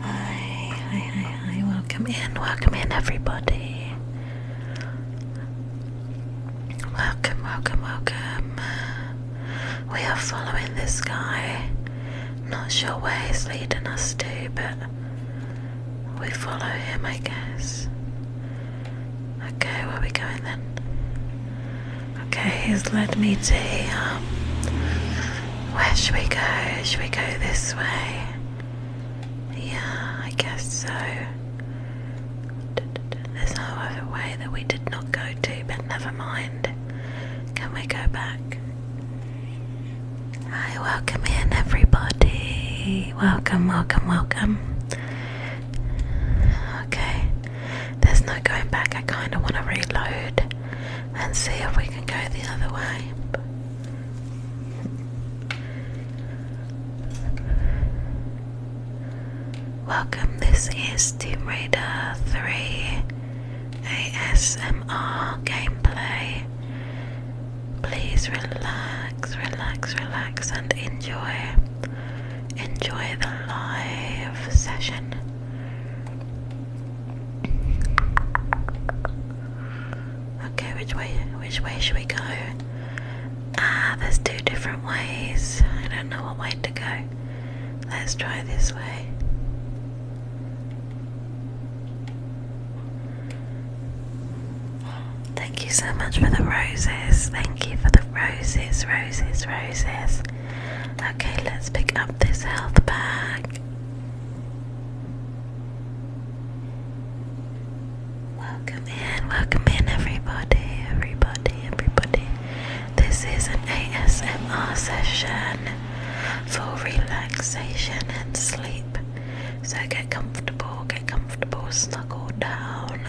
Hi, hi, hi, hi. Welcome in, welcome in, everybody. Welcome, welcome, welcome. We are following this guy. Not sure where he's leading us to, but we follow him, I guess. Okay, where are we going then? Okay, he's led me to here. Where should we go? Should we go this way? Yeah, I guess so. There's no other way that we did not go to, but never mind. Can we go back? Hi, welcome in everybody. Welcome, welcome, welcome. Okay, there's no going back. I kind of want to reload and see if we can go the other way. Welcome, this is Tomb Raider 3 ASMR gameplay. Please relax, relax, relax, and enjoy enjoy enjoy the live session. Okay, which way which way should we go? Ah, there's two different ways. I don't know what way to go. Let's try this way. Thank you so much for the roses. Thank you for the roses, roses, roses. Okay, let's pick up this health bag. Welcome in, welcome in, everybody, everybody, everybody. This is an ASMR session for relaxation and sleep. So get comfortable, get comfortable, snuggle down,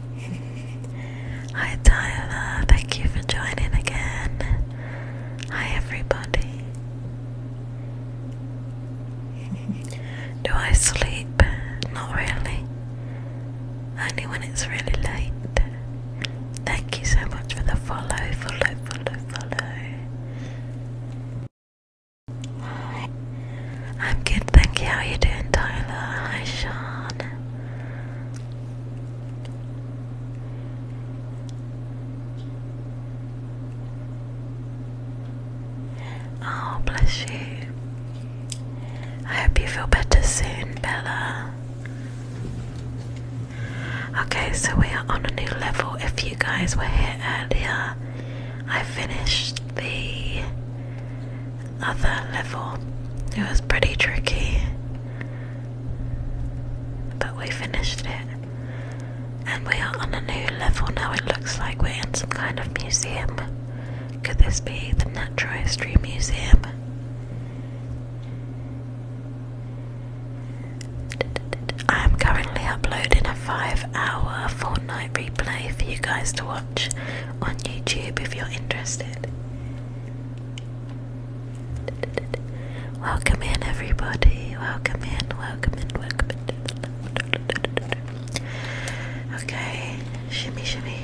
Hi Tyler, thank you for joining again. Hi everybody. Do I sleep? Not really. Only when it's really late. Thank you so much for the follow, follow, follow, follow. Hi. I'm good, thank you. How are you doing, Tyler? Hi, Sean. Oh, bless you. I hope you feel better soon, Bella. Okay, so we are on a new level. If you guys were here earlier, I finished the other level. It was pretty tricky, but we finished it. And we are on a new level now. It looks like we're in some kind of museum. Could this be the Natural History Museum? I am currently uploading a 5 hour Fortnite replay for you guys to watch on YouTube if you're interested. Welcome in, everybody. Welcome in, welcome in, welcome in. Okay, shimmy, shimmy.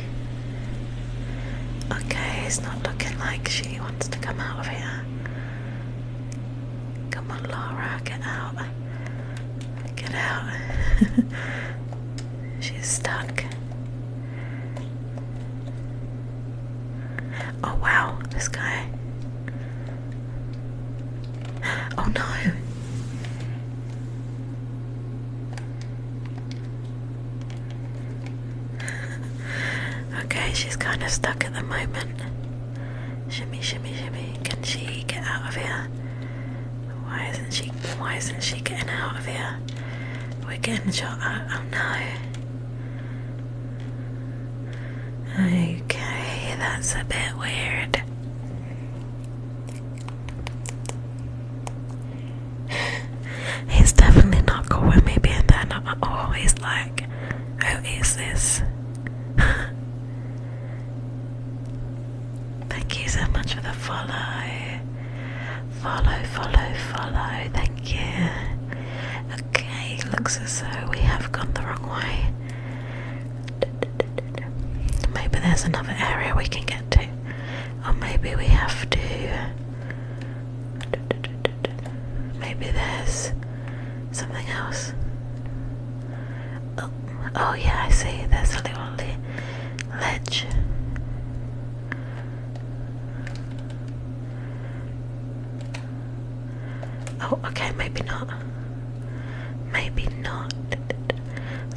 Okay, it's not looking like she wants to come out of here. Come on, Laura, get out. Get out. She's stuck. Oh wow, this guy. Oh no. okay, she's kind of stuck at the moment. Shimmy, shimmy, shimmy. Can she get out of here? Why isn't she? Why isn't she getting out of here? We're getting shot at. Oh no. Okay, that's a bit weird. he's definitely not cool with me being there at all. He's like, who oh, is this? Thank you so much for the follow. Follow, follow, follow. Thank you. Okay, looks as though we have gone the wrong way. Maybe there's another area we can get to. Or maybe we have to. Maybe there's something else. Oh, oh yeah, I see. There's a little ledge. Oh, okay, maybe not. Maybe not.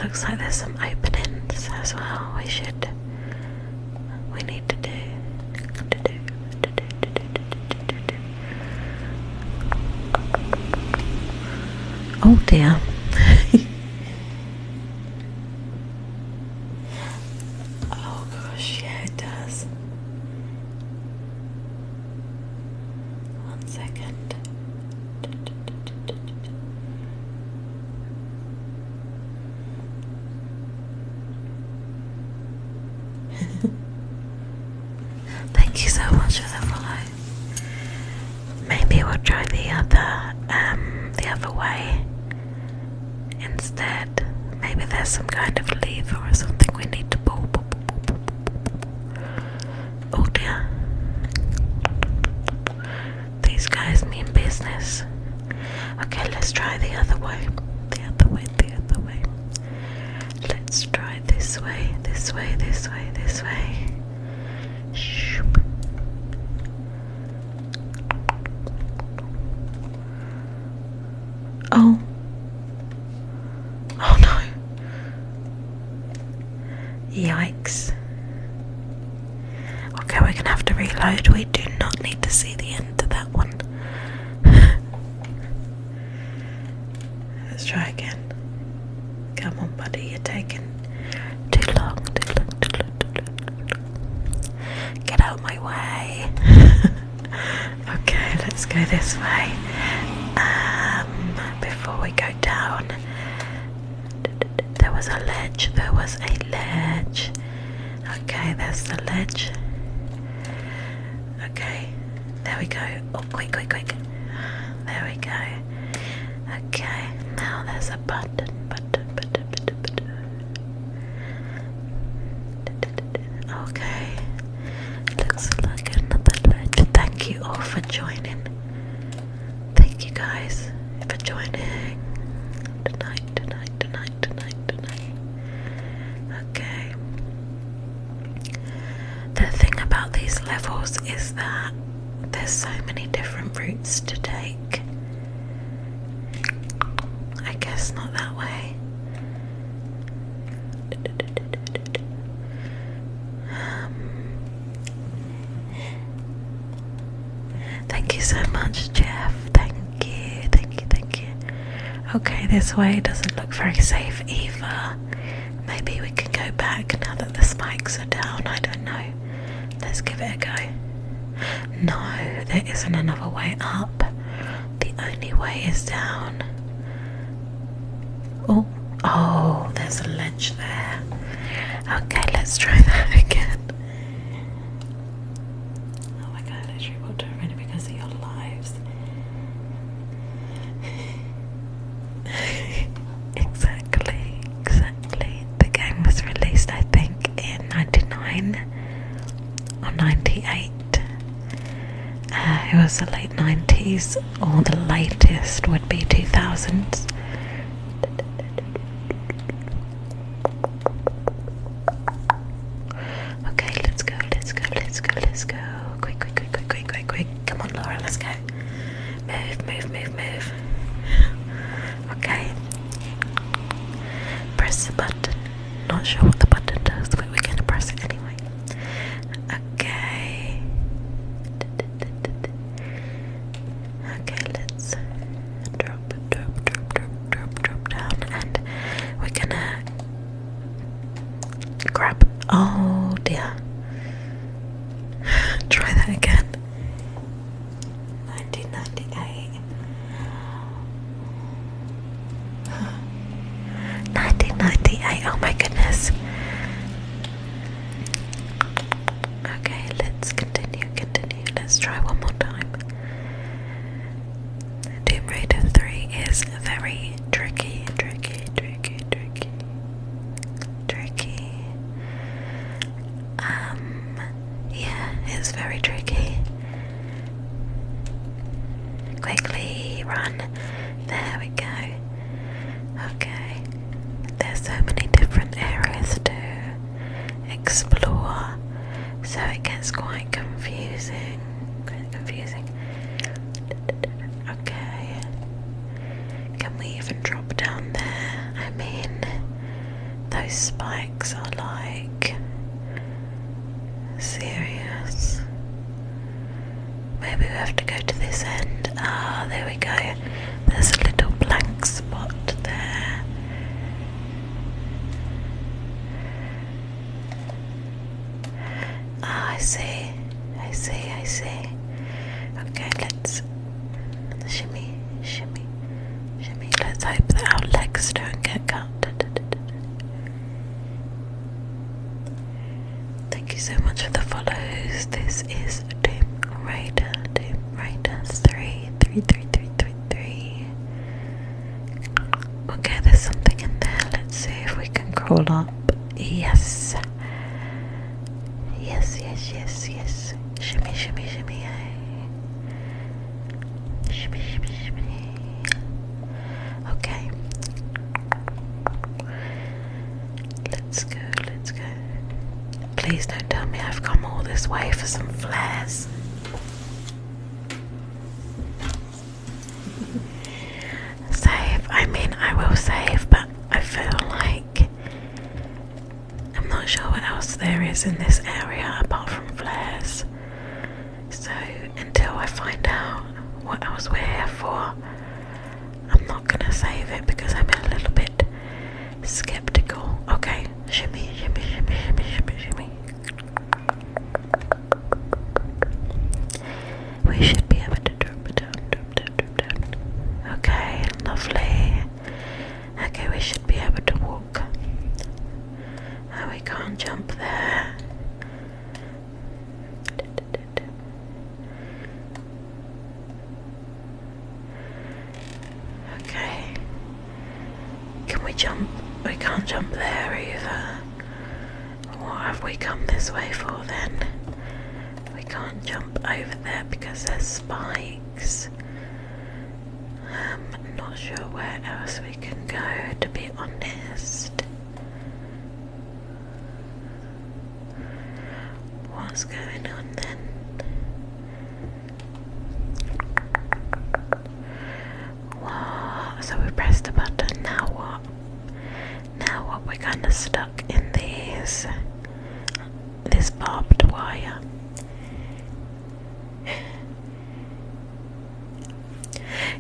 Looks like there's some openings as well. We should. We need to do. To do. To do. To do. To do. To do. Oh damn. Oh gosh, yeah, it does. One second. Thank you so much for the follow. Maybe we'll try the other um the other way. Instead, maybe there's some kind of lever or something we need to pull. Oh dear. These guys mean business. Okay, let's try the other way. The other way, the other way. Let's try this way, this way, this way, this way. Shoop. Oh. Oh no. Yikes. Okay, we're gonna have to reload. We do not need to see the end of that one. Let's try again. Come on, buddy, you're taking too long, too long, too long. Get out my way. okay, let's go this way. Um, before we go down, there was a ledge. There was a ledge. Okay, there's the ledge. Okay, there we go. Oh, quick, quick, quick. There we go. Okay, now there's a button, button, button, button, Okay, looks like another ledge. Thank you all for joining. Thank you guys for joining tonight, tonight, tonight, tonight, tonight. Okay. The thing about these levels is that there's so many different routes to take. I guess not that way. Um, thank you so much, Jeff. Thank you, thank you, thank you. Okay, this way doesn't look very safe either. Maybe we can go back now that the spikes are down. I don't know. Let's give it a go. No, there isn't another way up. The only way is down. Oh, oh, there's a ledge there. Okay, let's try that again. Oh my god, I literally walked over it because of your lives. exactly. The game was released, I think, in 99 or 98. Uh, it was the late 90s, or the latest would be 2000s. Okay, let's go, let's go, let's go, let's go. Quick, quick, quick, quick, quick, quick, quick. Come on, Laura, let's go. Move, move, move, move. Okay, Press the button. Not sure what the button does, but we're gonna press it anyway. Okay. Okay, let's drop, drop, drop, drop, drop, drop down, and we're gonna grab. Oh dear. Try that again. 1998 1998 oh my goodness okay let's continue continue let's try one more time Tomb is very tricky tricky tricky tricky tricky um yeah, it's very tricky. Quickly run. There we go. Okay. There's so many different areas to explore, so it gets quite confusing. Quite confusing. Okay. Can we even drop down there? I mean, those spikes are like serious. Maybe we have to go to this end. Ah, there we go. There's a little blank spot there. Ah, I see. I see. I see. Okay, let's shimmy shimmy, shimmy. Let's hope that our legs don't get cut. Thank you so much for the follows. This is Raider, Raider three, three, three, three, three, three. Okay, there's something in there. Let's see if we can crawl up. Yes. Yes, yes, yes, yes. Shimmy, shimmy, shimmy. Hey. Eh? Okay. Let's go, let's go. Please don't tell me I've come all this way for some flares. save. I mean, I will save, but I feel like I'm not sure what else there is in this area apart from flares. So until I find out what else we're here for, I'm not gonna save it because I'm a little bit skeptical. Okay, shimmy, shimmy, shimmy, shimmy, shimmy, shimmy. We should be able to drop it down, drop down, drop down. Okay, lovely. Okay, we should be able to walk. Oh, we can't jump there. Okay. Can we jump? We can't jump there either. What have we come this way for then? We can't jump over there because there's spikes. I'm not sure where else we can go, to be honest. What's going on then? So we pressed the button, now what? Now what? We're kind of stuck in these. This barbed wire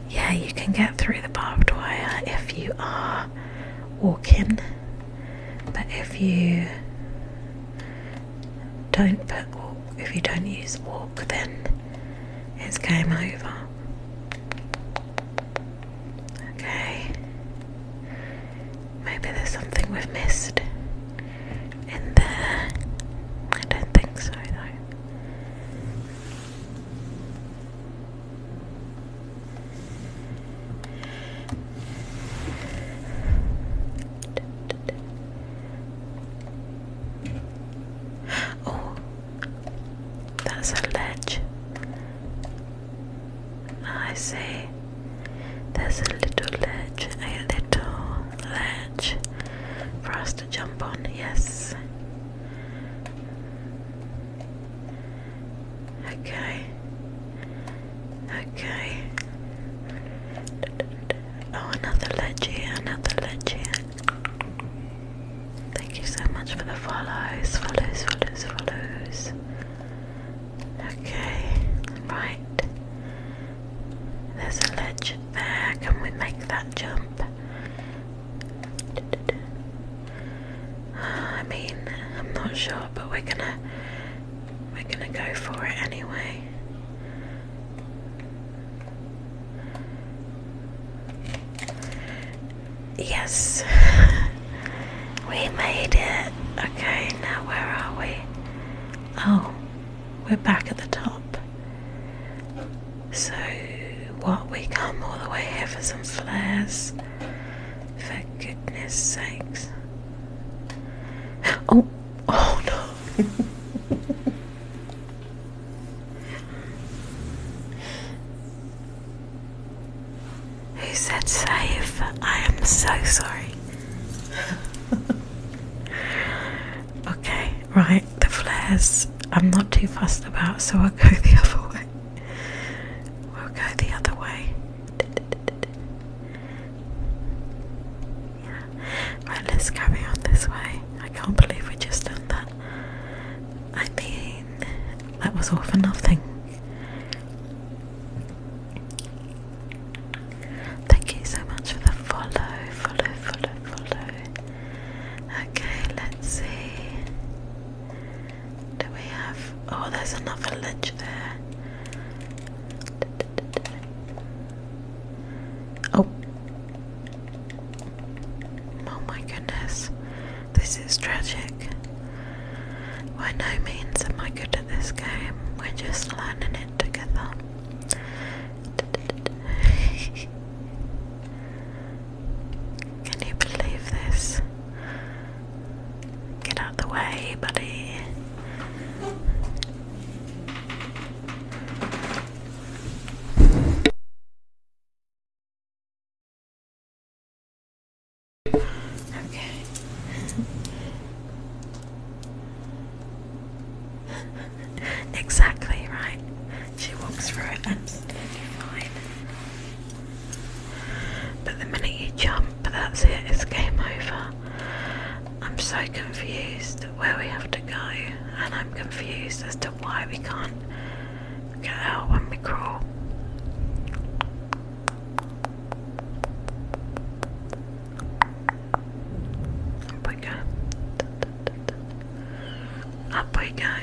yeah, you can get through the barbed wire if you are walking, but if you don't put walk, if you don't use walk, then it's game over. Okay, maybe there's something we've missed in there? I don't think so, though. Oh, that's a ledge. Ah, I see. There's a little ledge, a little ledge for us to jump on, yes. Okay. Okay. Oh, another ledge another ledge Thank you so much for the follows, follows, follows, follows. Okay, right. There's a legend there. Can we make that jump? I mean, I'm not sure, but we're gonna we're gonna go for it anyway. Yes, we made it. Okay, now where are we? Oh, we're back at the top. So, what, we come all the way here for some flares? For goodness sakes. Oh, oh no! Who said save? I am so sorry. Okay, right, the flares I'm not too fussed about, so I'll go the other way. We'll go the other way. Yeah. Right, let's carry on this way. I can't believe we just done that. I mean, that was all for nothing. Thank you so much for the follow, follow, follow, follow. Okay, let's see. Do we have. Oh, there's another ledge there. Oh. Oh my goodness. This is tragic. By no means am I good at this game. We're just learning it together. Can you believe this? Get out the way, buddy. Okay. exactly right. She walks through it absolutely fine. But the minute you jump, that's it, it's game over. I'm so confused where we have to go, and I'm confused as to why we can't get out when we crawl. Apoigar. Apoigar.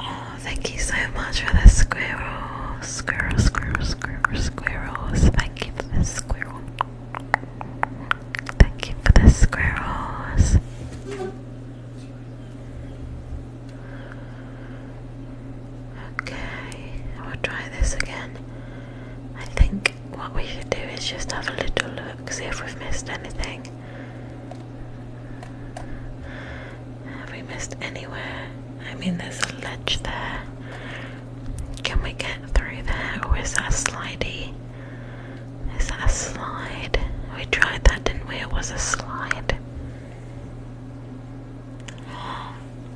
Oh, thank you so much for the squirrel, squirrel, squirrel, squirrel, squirrels. Thank you for the squirrel. Thank you for the squirrels. Okay, I will try this again. I think what we should do is just have a little look, see if we've missed anything. Have we missed anywhere? I mean, there's a ledge there. Can we get through there, or is that slidey? Is that a slide? We tried that, didn't we? It was a slide.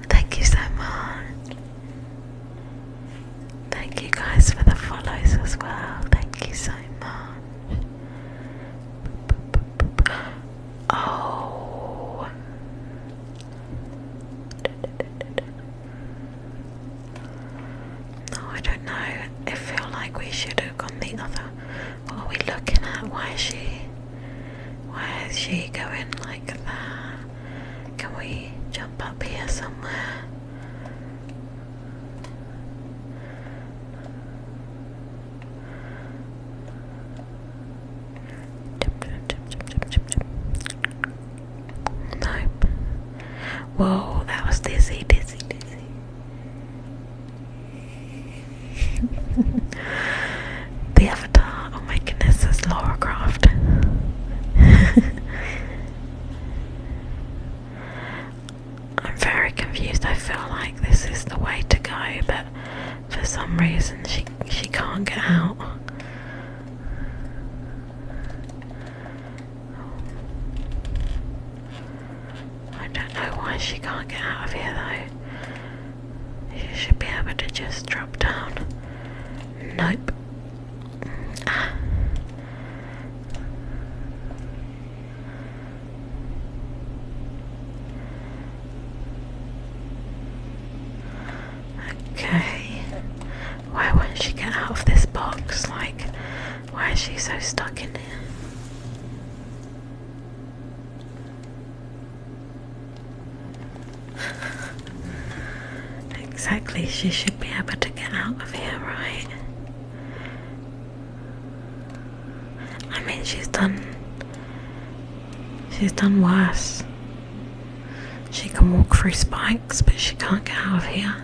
Thank you so much. Thank you guys for the follows as well. Thank you so much. Oh. No, I don't know. I feel like we should have gone the other what are we looking at? Why is she? Why is she going like that? Can we jump up here somewhere? Nope. Whoa, that was dizzy, dizzy, dizzy the avatar, oh my goodness, is Laura Croft. I'm very confused. I feel like this is the way to go, but for some reason she she can't get out. I don't know why she can't get out of here though. She should be able to just drop down. Nope. Okay. Why won't she get out of this box? Like, why is she so stuck in here? exactly, she should be able to get out of here, right? I mean, she's done. She's done worse. She can walk through spikes, but she can't get out of here.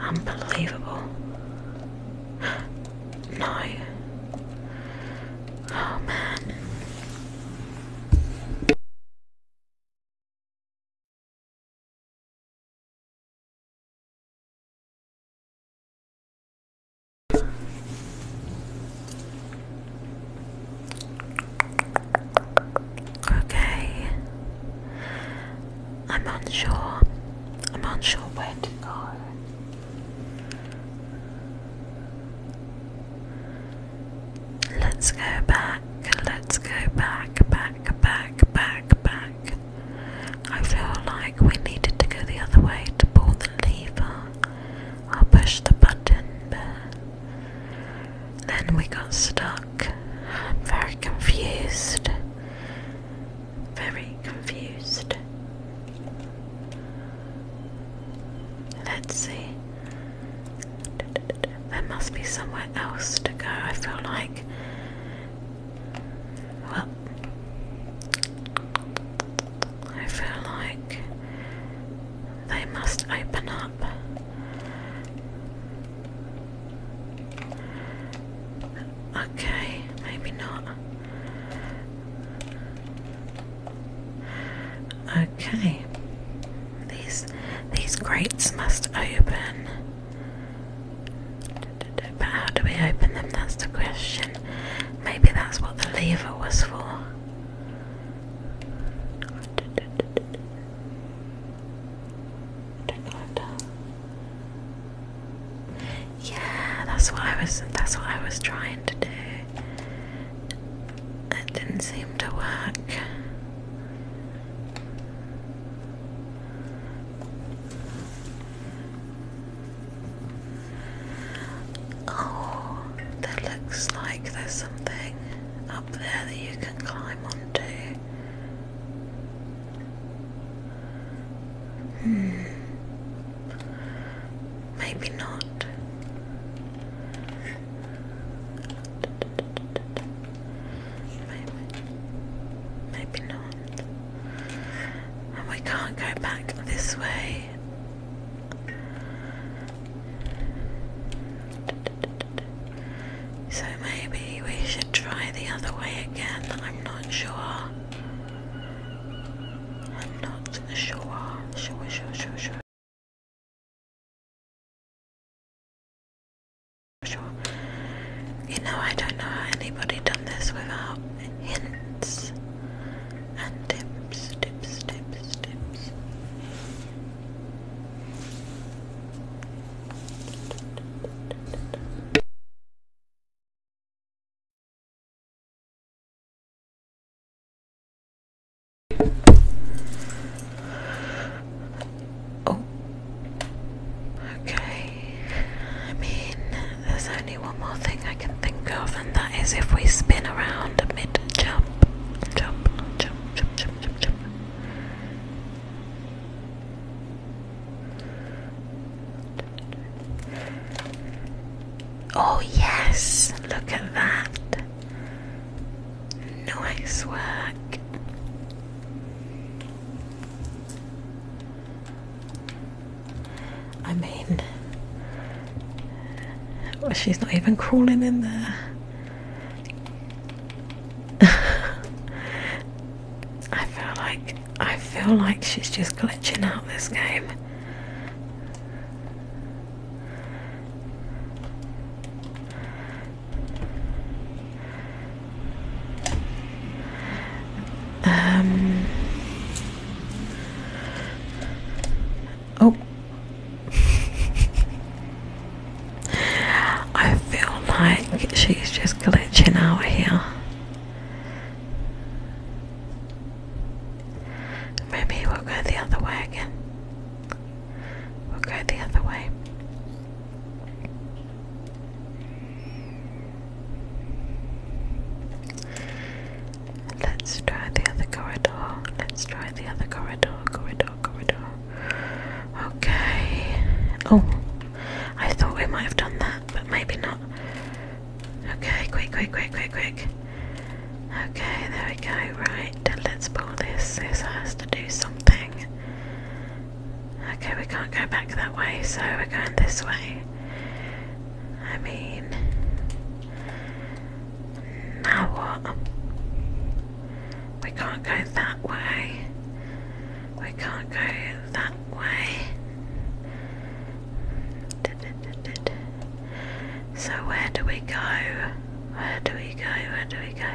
Unbelievable. No. Oh Okay. I'm unsure. I'm unsure where Let's go back, let's go back, back, back, back, back. I feel like we needed to go the other way to pull the lever. i push the button there. Then we got stuck. very confused. Very confused. Let's see. There must be somewhere else to go, I feel like. Well, I feel like they must open up. Okay, maybe not. Okay. These these grates must open. But how do we open them? That's the question. Maybe that's what the lever was for. Yeah, that's what I was that's what I was trying to do. It didn't seem to work. Oh, there looks like there's something up there that you can climb onto. Hmm. Maybe not. Maybe. not. And we can't go back this way. So maybe we should try the other way again. I'm not sure. I'm not sure. Sure, sure, sure, sure. Sure. You know, I don't know how anybody done this without hints and tips, tips, tips, tips. Oh. Okay. I mean, there's only one more thing I can think of, and that is if we spin around mid jump, jump, jump, jump, jump, jump, jump. Oh, yes, look at that. Nice work. I mean, she's not even crawling in there. I feel like I feel like she's just glitching out this game. Um. Oh. I feel like she's just glitching out here. Maybe we'll go the other way again. We'll go the other way. Let's try the other corridor. Let's try the other corridor, corridor, corridor. Okay. Oh, I thought we might have done that, but maybe not. Okay, quick, quick, quick, quick, quick. Okay, there we go. Right, let's pull this. This has to do something. Okay, we can't go back that way, so we're going this way. I mean, now what? We can't go that way. We can't go that way. So where do we go? Where do we go? Where do we go?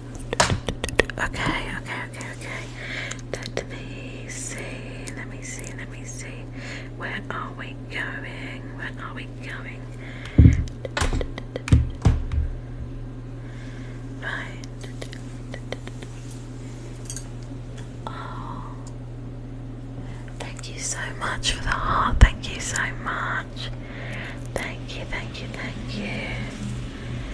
Okay, okay, okay, okay. Let me see, let me see, let me see. Where are we going? Where are we going? Right. Oh. Thank you so much for the heart. Thank you so much. Thank you, thank you, thank you. Relax,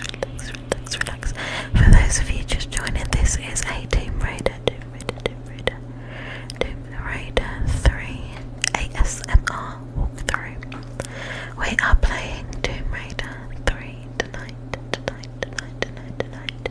relax, relax, relax. For those of you just joining, this is a Tomb Raider, Tomb Raider, Tomb Raider, Tomb Raider 3 ASMR walkthrough. We are playing Tomb Raider 3 tonight, tonight, tonight, tonight, tonight.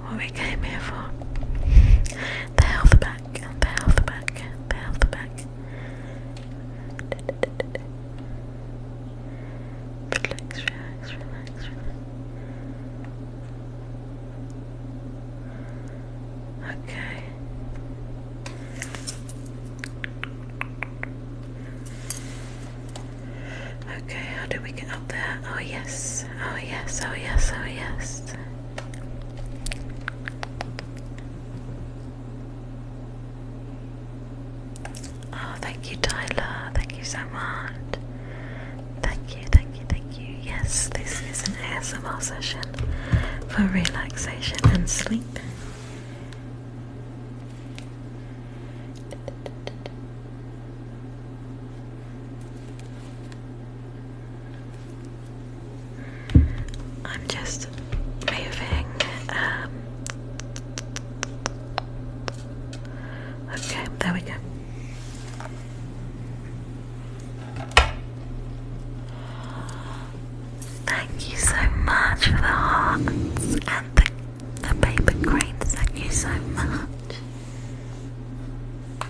what we came here for. The health back, the health back, the health back. relax, relax, relax. Okay. Okay, how do we get up there? Oh, yes oh yes, oh yes, oh yes. Oh, thank you, Tyler. Thank you so much. Thank you, thank you, thank you. Yes, this is an ASMR session for relaxation and sleep. I'm just moving. Um, okay, there we go. Thank you so much for the hearts and the, the paper cranes. Thank you so much.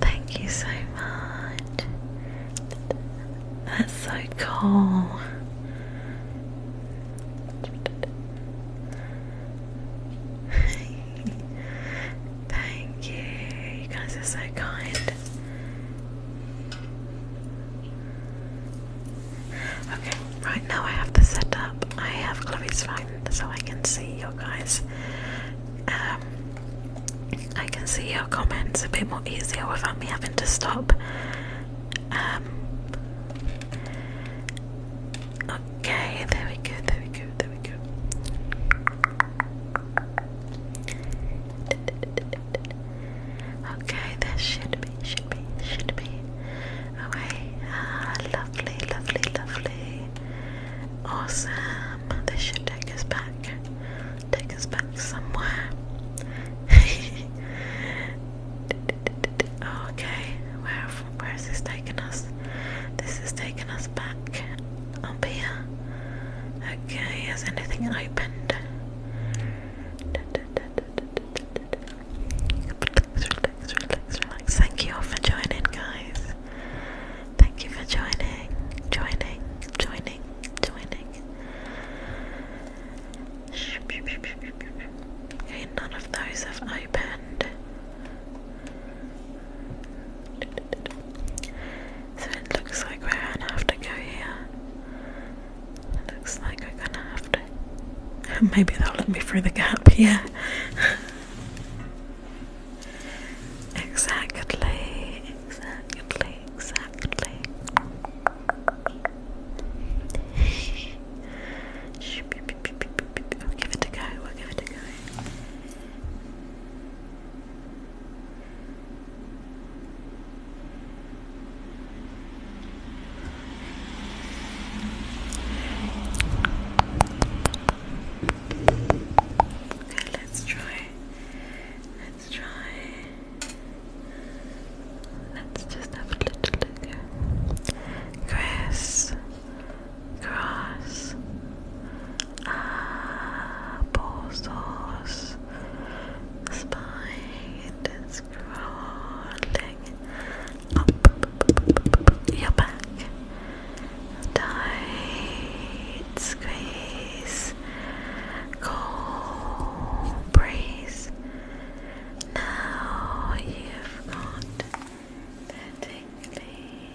Thank you so much. That's so cool. Thank you. You guys are so kind. Okay, right now I have the setup. I have Chloe's phone so I can see your guys. Um, I can see your comments a bit more easier without me having to stop. Um, okay, there we go, there we go, there we go. Okay, this should be, should be, should be. Okay, uh, lovely, lovely, lovely. Awesome. This should take us back. Take us back somewhere. okay, where where is this taking us? This is taking us back up here. Okay, has anything opened? Thank you all for joining, guys. Thank you for joining, joining, joining, joining. none of those have opened. So it looks like we're gonna have to go here. Looks like I'm gonna have to. Maybe that will let me through the gap, yeah. exactly, exactly, exactly. We'll give it a go, we'll give it a go. Okay, let's try. Let's try. Let's just have a little look here. Grass, grass, apple it is rolling up your back. Tight squeeze, cool breeze. Now you've got the tingling.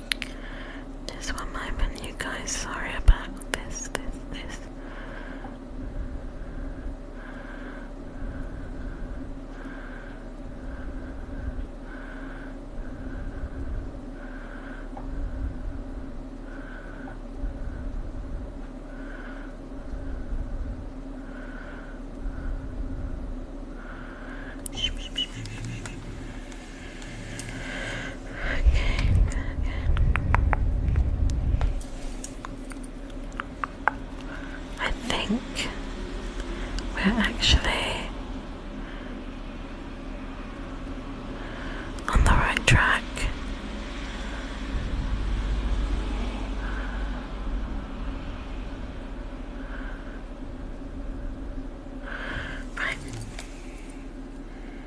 Just one moment, you guys. Sorry about this, this, this. Okay, good, I think we're actually on the right track. Right.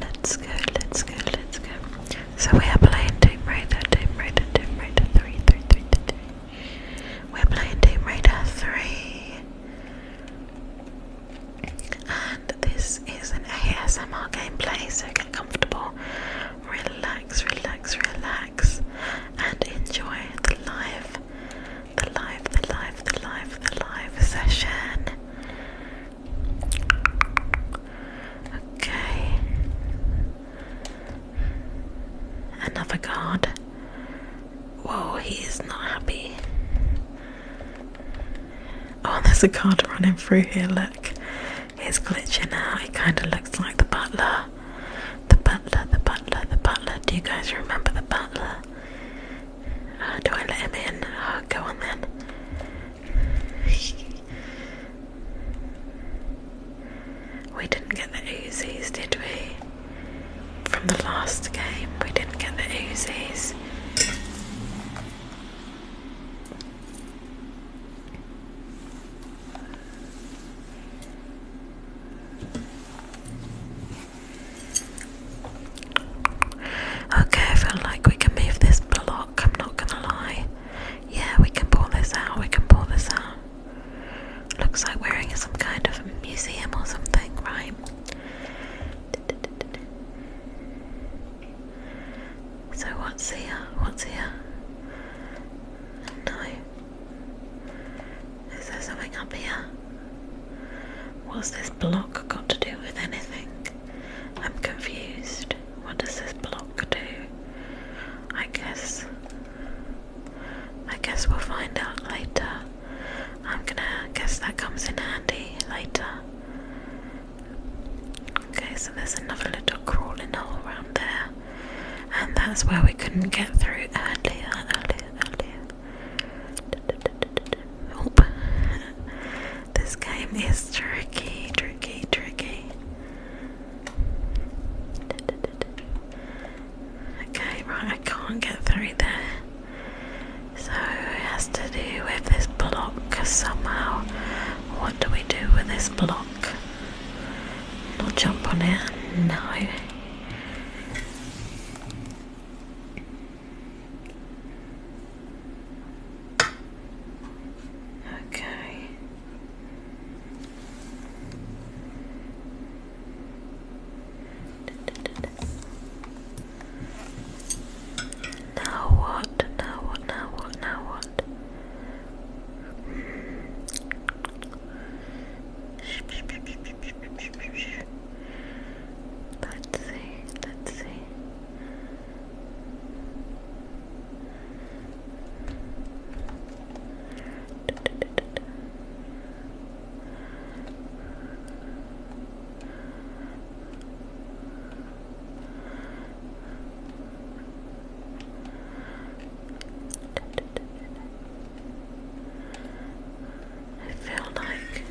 Let's go, let's go, let's go. So we are playing Tomb Raider, Tomb Raider, Tomb Raider 3, We're playing Tomb Raider 3. And this is an ASMR gameplay, so get comfortable, relax, relax, relax, and enjoy the live, the live, the live, the live, the live session. Okay. Another guard. Whoa, he is not happy. Oh, there's a guard running through here. Look, he's glitching out. He kind of looks like the butler. The butler, the butler, the butler. Do you guys remember the butler? Uh, do I let him in? Uh, go on then. We didn't get the Uzis, did we? From the last game, we didn't get the Uzis. Okay, I feel like we can move this block, I'm not gonna lie. Yeah, we can pull this out, we can pull this out. Looks like we're in some kind of museum or something, right? So what's here? What's here? No. Is there something up here? What's this block got to do with anything? I'm confused. What does this block do? I guess. I guess we'll find out later. I'm gonna guess that comes in handy later. Okay, so there's another little crawling hole around there, and that's where we couldn't get through earlier, earlier, earlier. Oh. This game is tricky, tricky, tricky. Okay, right, I can't get through there. So has to do with this block somehow. What do we do with this block? Not jump on it? No. Okay. Now what? Now what? Now what? Now what? Let's see. Let's see. I feel like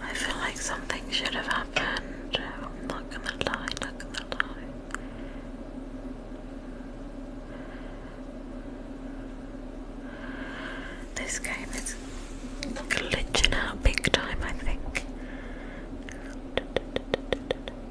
I feel like something should have happened. I'm not gonna lie, not gonna lie. This game is glitching out big time, I think.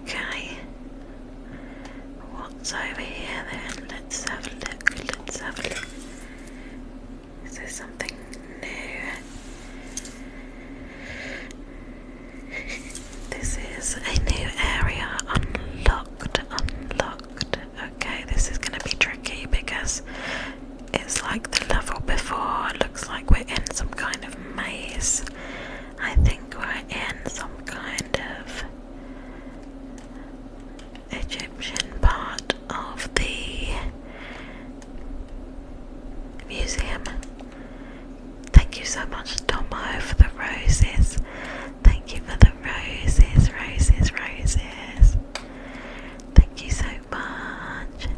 Okay. What's over here then? Let's have a look. Let's have a look. Is there something new? this is a new area unlocked. Unlocked. Okay, this is going to be tricky because it's like the level before. It looks like we're in some kind of maze. I think we're in some kind of Egyptian part of the museum. Thank you so much, Tomo, for the roses. Thank you for the roses, roses, roses. Thank you so much.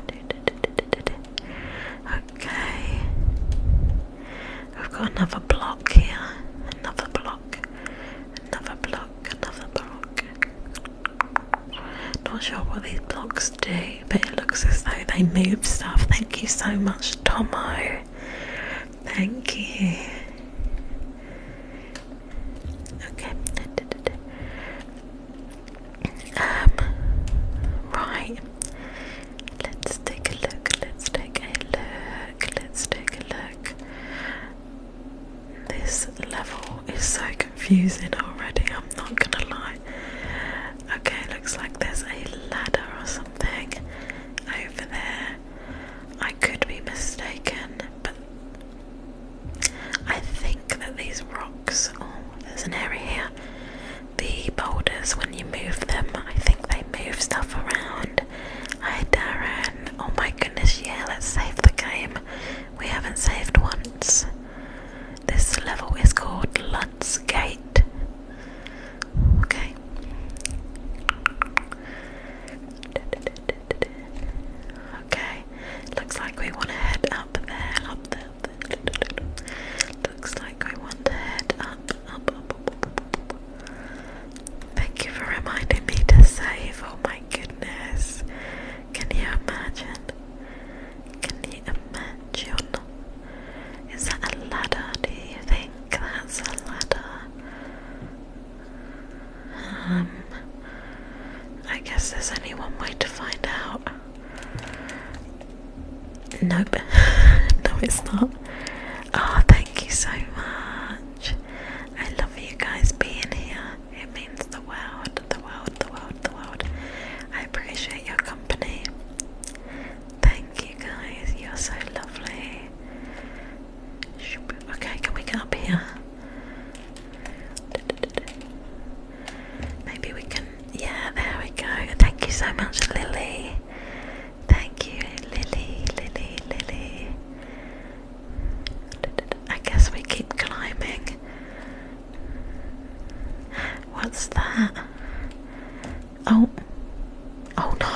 Okay. We've got another block here. Another block. Another block. Another block. Not sure what these blocks do, but it looks as though they move stuff. Thank you so much, Tomo. Thank you. Okay. Um, right. Let's take a look. Let's take a look. Let's take a look. This level is so confusing already, I'm not gonna lie. Okay, looks like there's a ladder or something over there. I could be mistaken, but I think that these rocks. Oh, there's an area here the boulders when you move them. I think they move stuff around. Hi Darren. Oh my goodness, yeah, let's save the game. We haven't saved once. This level is called Lutz Gate. Okay. Okay. Looks like we want to head up there, up there. Looks like we want to head Thank you for reminding me to save. Oh my goodness. Can you imagine? Can you imagine? Is that a ladder? Do you think that's a ladder? Um, I guess there's only one way to find out. Nope. no, it's not. Oh, thank you so much. I love you guys being here. It means the world, the world, the world, the world. I appreciate your company. Thank you guys. You're so lovely. Okay, can we get up here? Maybe we can. Yeah, there we go. Thank you so much, Lily. Thank you, Lily, Lily, Lily. I guess we keep climbing. What's that? Oh, oh no.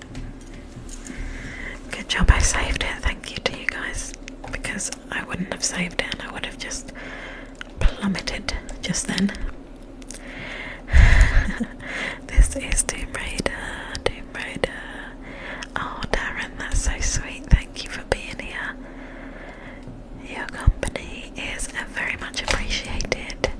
Good job, I saved it. Thank you to you guys because I wouldn't have saved it I would have just plummeted just then. this is Tomb Raider, Tomb Raider. Oh, Darren, that's so sweet. Thank you for being here. Your company is very much appreciated.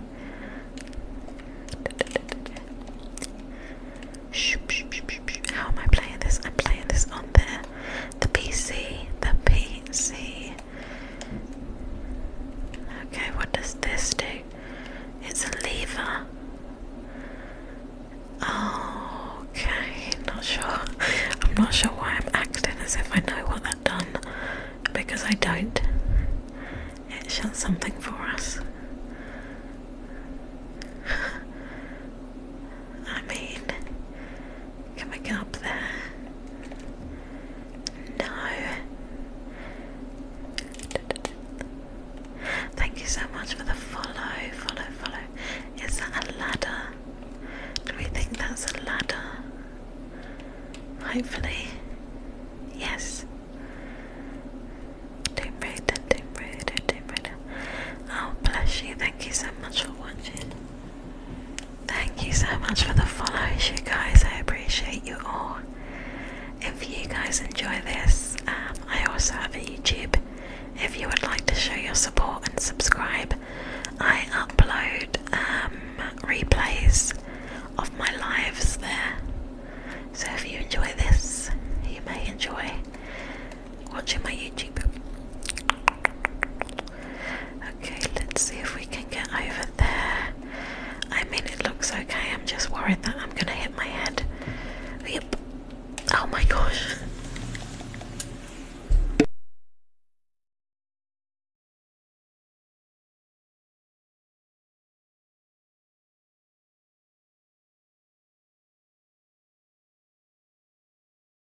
How am I playing this? I'm playing this on the the PC, the PC. Okay, what does this do? It's a lever. okay, not sure. I'm not sure why I'm acting as if I know what that done because I don't. It shut something for us. I mean, can we get up there? No. Thank you so much for the follow, follow, follow. Is that a ladder? Do we think that's a ladder? Hopefully. Yes. Tomb Raider, Tomb Raider, Tomb Raider. Oh, bless you. Thank you so much for watching. Thank you so much for the follows, you guys. I appreciate you all. If you guys enjoy this, um, I also have a YouTube. If you would like to show your support and subscribe, I upload um, replays of my lives there. So if you enjoy this, you may enjoy watching my YouTube. Okay, let's see if we can get over there. I mean, it looks okay. I'm just worried that I'm gonna hit my head. Yep. Oh my gosh.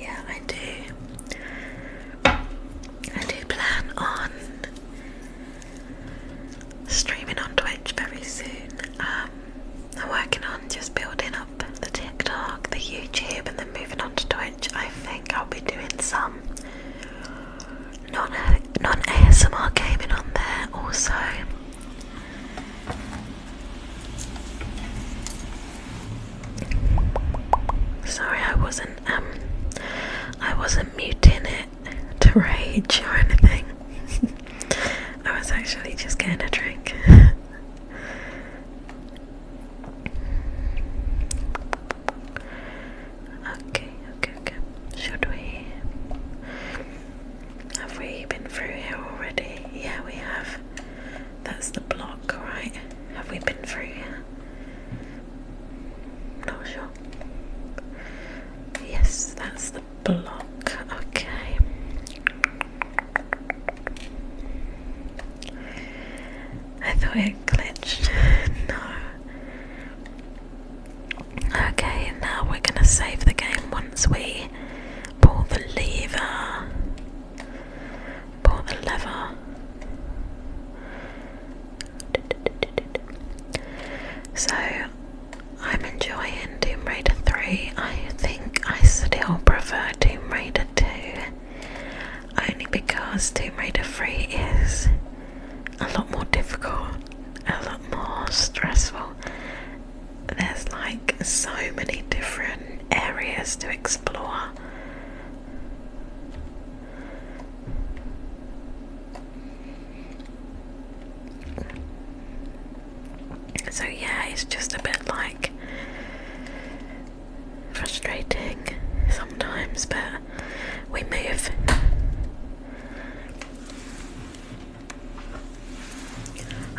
Yeah, I do. I do plan on streaming on Twitch very soon. Um, I'm working on just building up the TikTok, the YouTube, and then moving on to Twitch. I think I'll be doing some non non ASMR gaming on there also. Sorry, I wasn't um I wasn't muting it to rage or anything. I was actually just getting a drink. Okay, okay, okay. Should we? Have we been through here already? Yeah, we have. That's the block, right? Have we been through here? Not sure. Yes, that's the block. Okay. I thought it glitched. no, Okay, now we're going to save the game once we pull the lever. Pull the lever. So, I'm enjoying Doom Raider 3. I think I still prefer Doom Raider 2 only because Doom Raider 3 is a lot more difficult, a lot more stressful. There's like so many different areas to explore. So, yeah, it's just a bit like frustrating sometimes, but we move.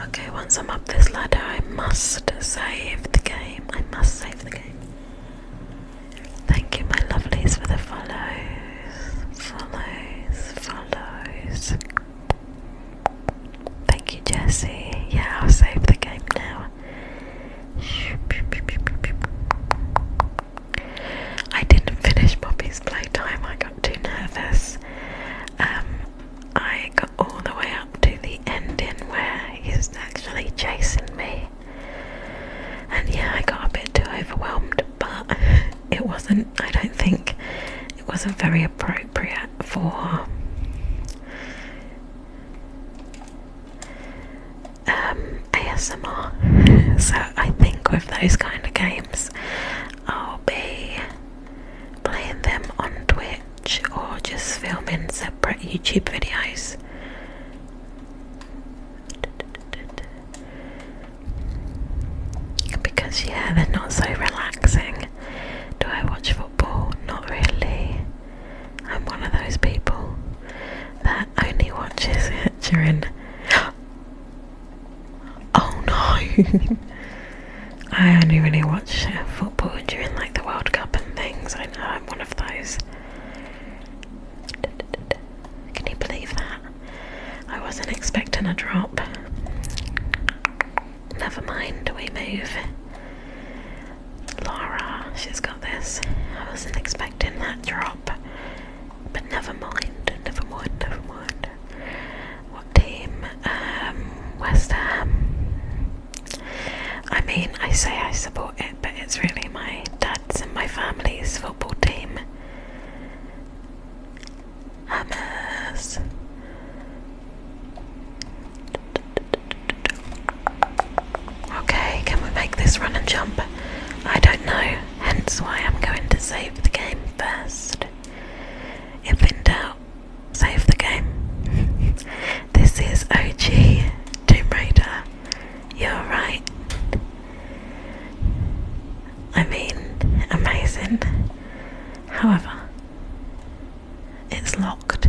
Okay, once I'm up this ladder, I must save the game. I must save the game. Thank you, my lovelies, for the follows. Follows, follows. Thank you, Jesse. Yeah, I'll save the game now. I didn't finish Poppy's playtime, I got too nervous. Um, I got all the way up to the ending where he's actually chasing me, and yeah, I got a bit too overwhelmed, but it wasn't, I don't think, it wasn't very appropriate for um, ASMR. So I think with those kind of games, I'll be playing them on Twitch or just filming separate YouTube videos. Because, yeah, they're not so relaxing. Do I watch football? Not really. I'm one of those people that only watches it during. Oh no! I only really watch football during like the World Cup and things. I know I'm one of those. Can you believe that? I wasn't expecting a drop. Never mind, we move. Laura, she's got this. I wasn't expecting that drop. But never mind, never mind, never mind. What team? Um, West Ham. I mean, I say I support it, but it's really my dad's and my family's football team. Hammers. Okay, can we make this run and jump? I don't know hence why I'm going to save the game first. If in doubt, save the game. this is OG Tomb Raider. You're right. I mean, amazing. However, it's locked.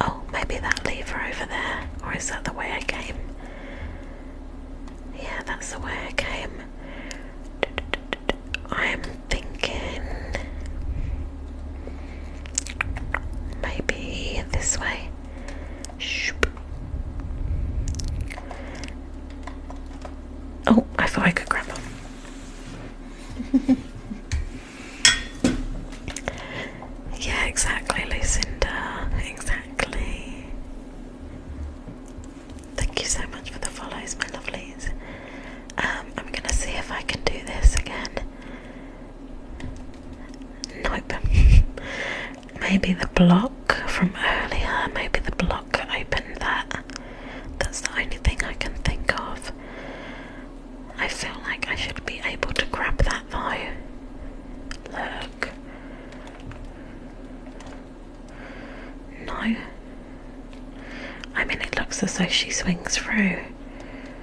Oh, maybe that lever over there, or is that the way I came? Yeah, that's the way I came. I'm thinking maybe this way. Oh, I thought I could grab them. yeah, exactly, Lucinda. Exactly. Thank you so much for the follows, my lovelies. Um, I'm gonna see if I can do this again. Nope. maybe the block from earlier, maybe the block opened that. That's the only thing I can think of. I feel like I should be able to grab that though. Look. No. I mean, it looks as though she swings through.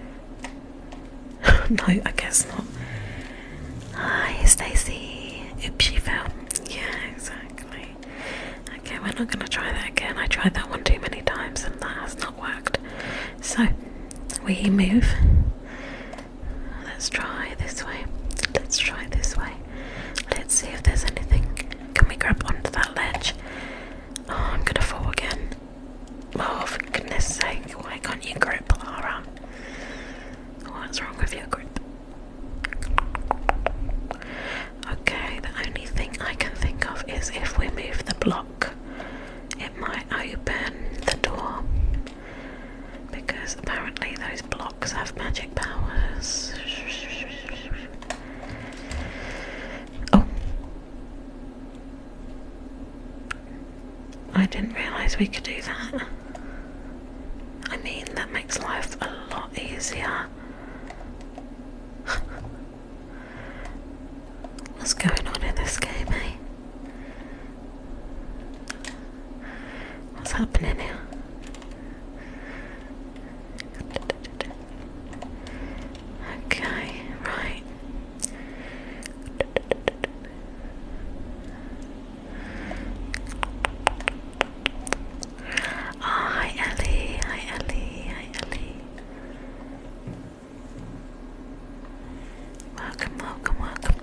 no, I guess not. Hi, Stacey. Oops, she fell. Yeah, exactly. Okay, we're not going to try that again. I tried that one too many times and that has not worked. So, we move. Let's try this way. Let's try this way. Let's see if there's anything. Can we grab onto that ledge? Oh, I'm gonna fall again. Oh, for goodness sake, why can't you grip, Laura? What's wrong with your grip? Okay, the only thing I can think of is if we move the block, it might open the door because apparently those blocks have magic powers. Oh, I didn't realize we could do that. I mean, that makes life a lot easier. What's going on in this game, eh? What's happening here? Okay, right. Oh, hi Ellie, hi Ellie, hi Ellie. Welcome, welcome, welcome.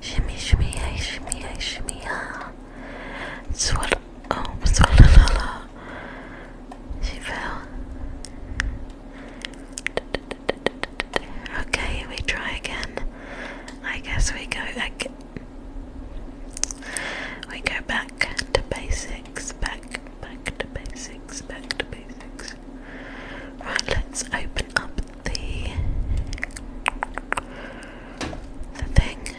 Shimmy, shimmy, hey, shimmy, hey, shimmy, ah. Swallow, oh, swallow, She fell. Okay, we try again. I guess we go, like, we go back back to basics, back, back to basics, back to basics. Right, let's open up the the thing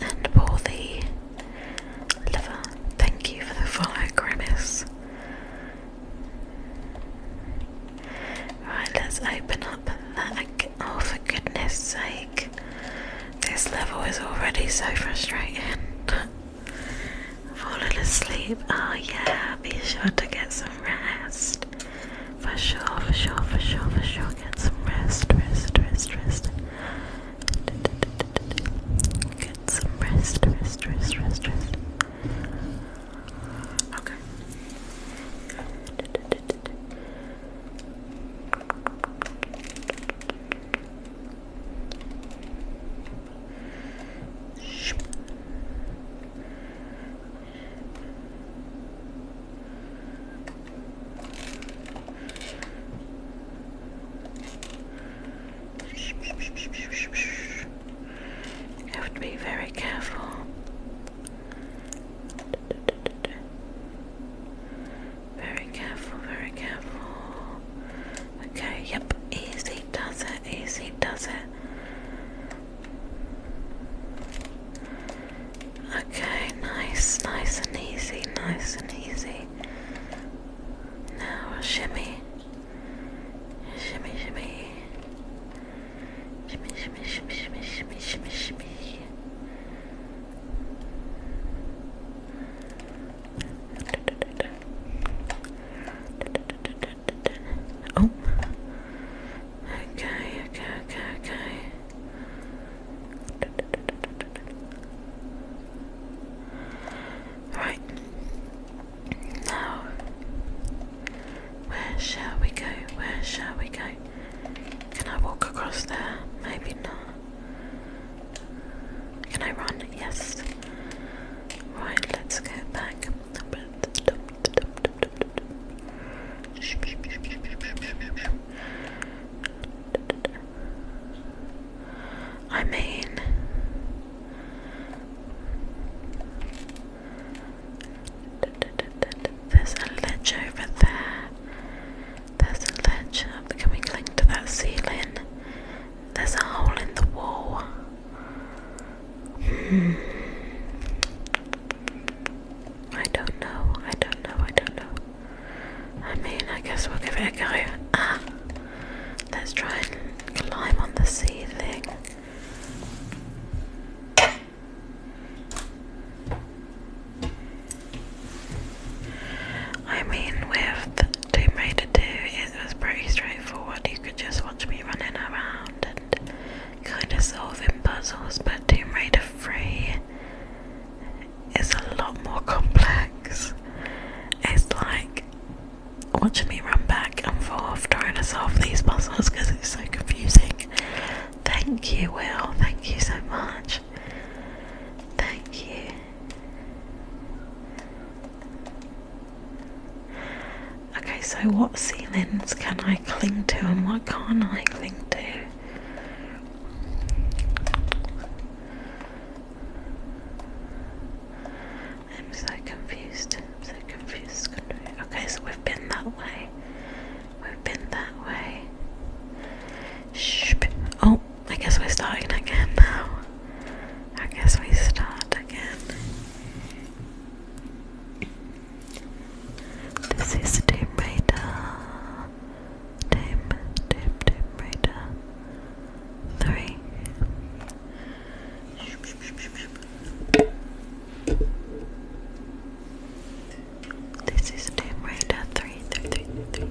and pour the liver. Thank you for the follow, Grimace. Right, let's open up that. Oh, for goodness sake. This level is already so frustrating. Falling asleep. Oh, yeah, be sure to get some rest. For sure, for sure, for sure, for sure. Get some rest, rest, rest, rest. Get some rest, rest, rest, rest, rest. Okay. You have to be very careful. Very careful, very careful. Okay, yep, easy does it, easy does it. Okay, nice, nice and easy, nice and easy. Now shimmy. Shimmy, shimmy, shimmy, shimmy, shimmy, shimmy, shimmy. Oh. Okay, okay, okay, okay. Right. Now, where shall we go? Where shall we go? Can I walk across there? Maybe not. Can I run? Yes. Right, let's go back. I mean, there's a ledge over there. There's a ledge up. Can we cling to that ceiling? There's a hole in the wall. Hmm. I don't know. I don't know. I don't know. I mean, I guess we'll get it a go. Ah. Let's try and climb on the ceiling. I mean, with Tomb Raider 2, it was pretty straightforward. You could just watch me running around and kind of solving puzzles, but Tomb Raider 3 is a lot more complex. It's like watching me run back and forth trying to solve these puzzles because it's so confusing. Thank you, Will. Thank you so much. Thank you. Okay, so what ceilings can I cling to and what can't I cling to? I'm so confused. I'm so confused. Okay, so we've been that way. We've been that way. Oh, I guess we're starting again now. I guess we start again. This is Tomb Raider. Tomb, Tomb, Tomb Raider. Three. This is Tomb Raider three, three, three, three.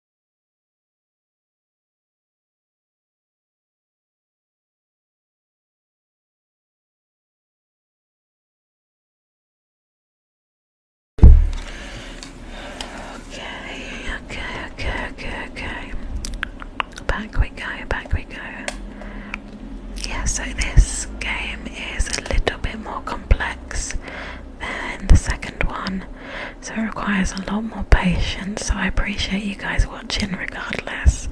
Okay, okay, okay, okay, okay. Back we go, back we go. Yeah, so this game is a little bit more complex than the second one so it requires a lot more patience. So I appreciate you guys watching regardless,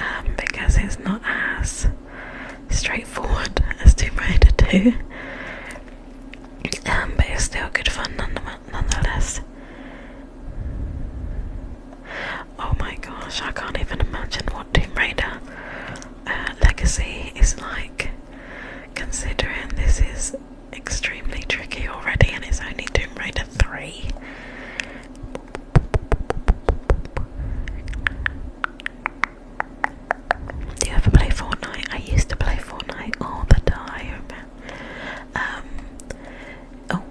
um, because it's not as straightforward as *Team Raider too. Um, but it's still good fun nonetheless. Oh my gosh, I can't even imagine what *Team Raider uh, Legacy is like, considering this is extremely tricky already, and it's only Tomb Raider 3. Do you ever play Fortnite? I used to play Fortnite all the time. Um, oh,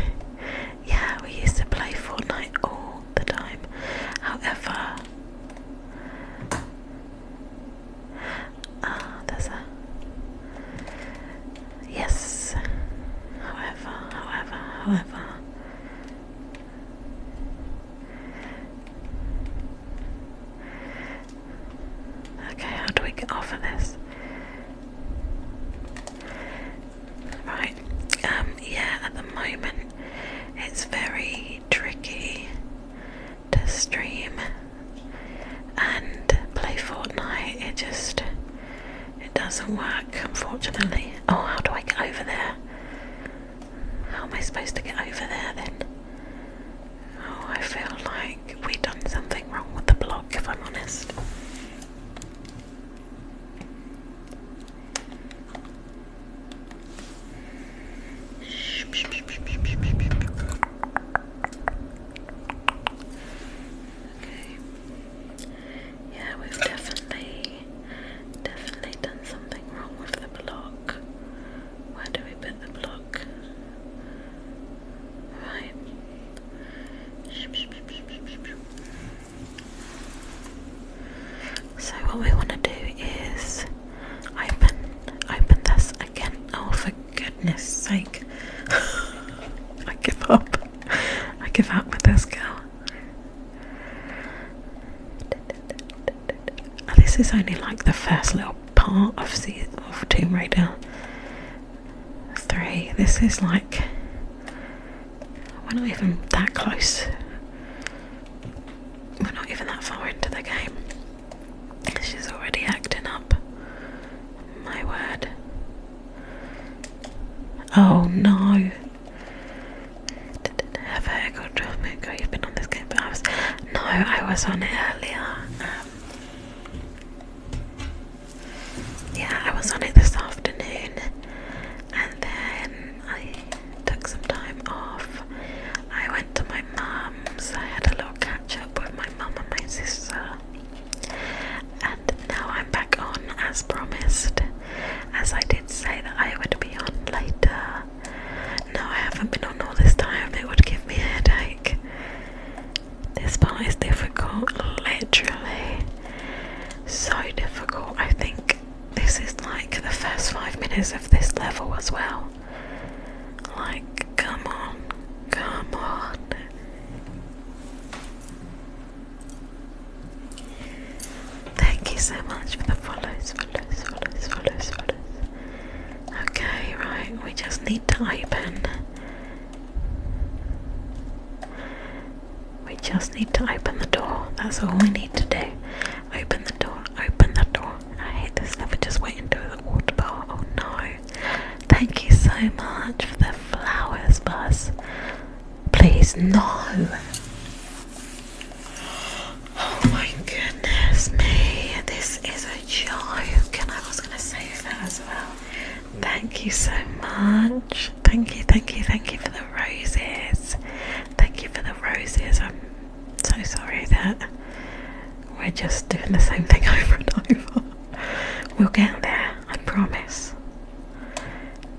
yeah, we used to play Fortnite all the time. However, Ah, there's a yes. However, however, however. Okay, how do we get off this? Right, um, yeah, at the moment it's very tricky to stream and play Fortnite. It just it doesn't work, unfortunately. Oh, how do I get over there? How am I supposed to get over there then? Oh, I feel like we've done something wrong with the block, if I'm honest. Okay. Yeah, we've definitely, definitely done something wrong with the block. Where do we put the block? Right. So what we want to do is open, open this again. Oh, for goodness sake. I give up. I give up with this girl. this is only like the first little part of, the of Tomb Raider 3. This is like. We're not even that close. We're not even that far into the game. She's already acting up. My word. Oh no. Have I got Dramatco? You've been on this game No, I was on it earlier. Um, yeah, I was on it this afternoon, and then I took some time off. I went to my mum's. I had a little catch up with my mum and my sister. And now I'm back on as promised, as I did say that I would be on later. No, I haven't been on all this time, it would give me a headache. This part is difficult, literally. So difficult. I think this is like the first five minutes of this level as well. Like, come on, come on. Thank you so much for the follows, Okay, right, we just need to open. We just need to open the door. That's all we need to do. Open the door, open that door. I hate this. Never just wait until the water bar. Oh no. Thank you so much for the flowers, Buzz. Please, no. Oh my goodness me, this is a joke, and I was going to say that as well. Thank you so much. Thank you, thank you, thank you for the roses. Thank you for the roses. I'm so sorry that we're just doing the same thing over and over. We'll get there, I promise.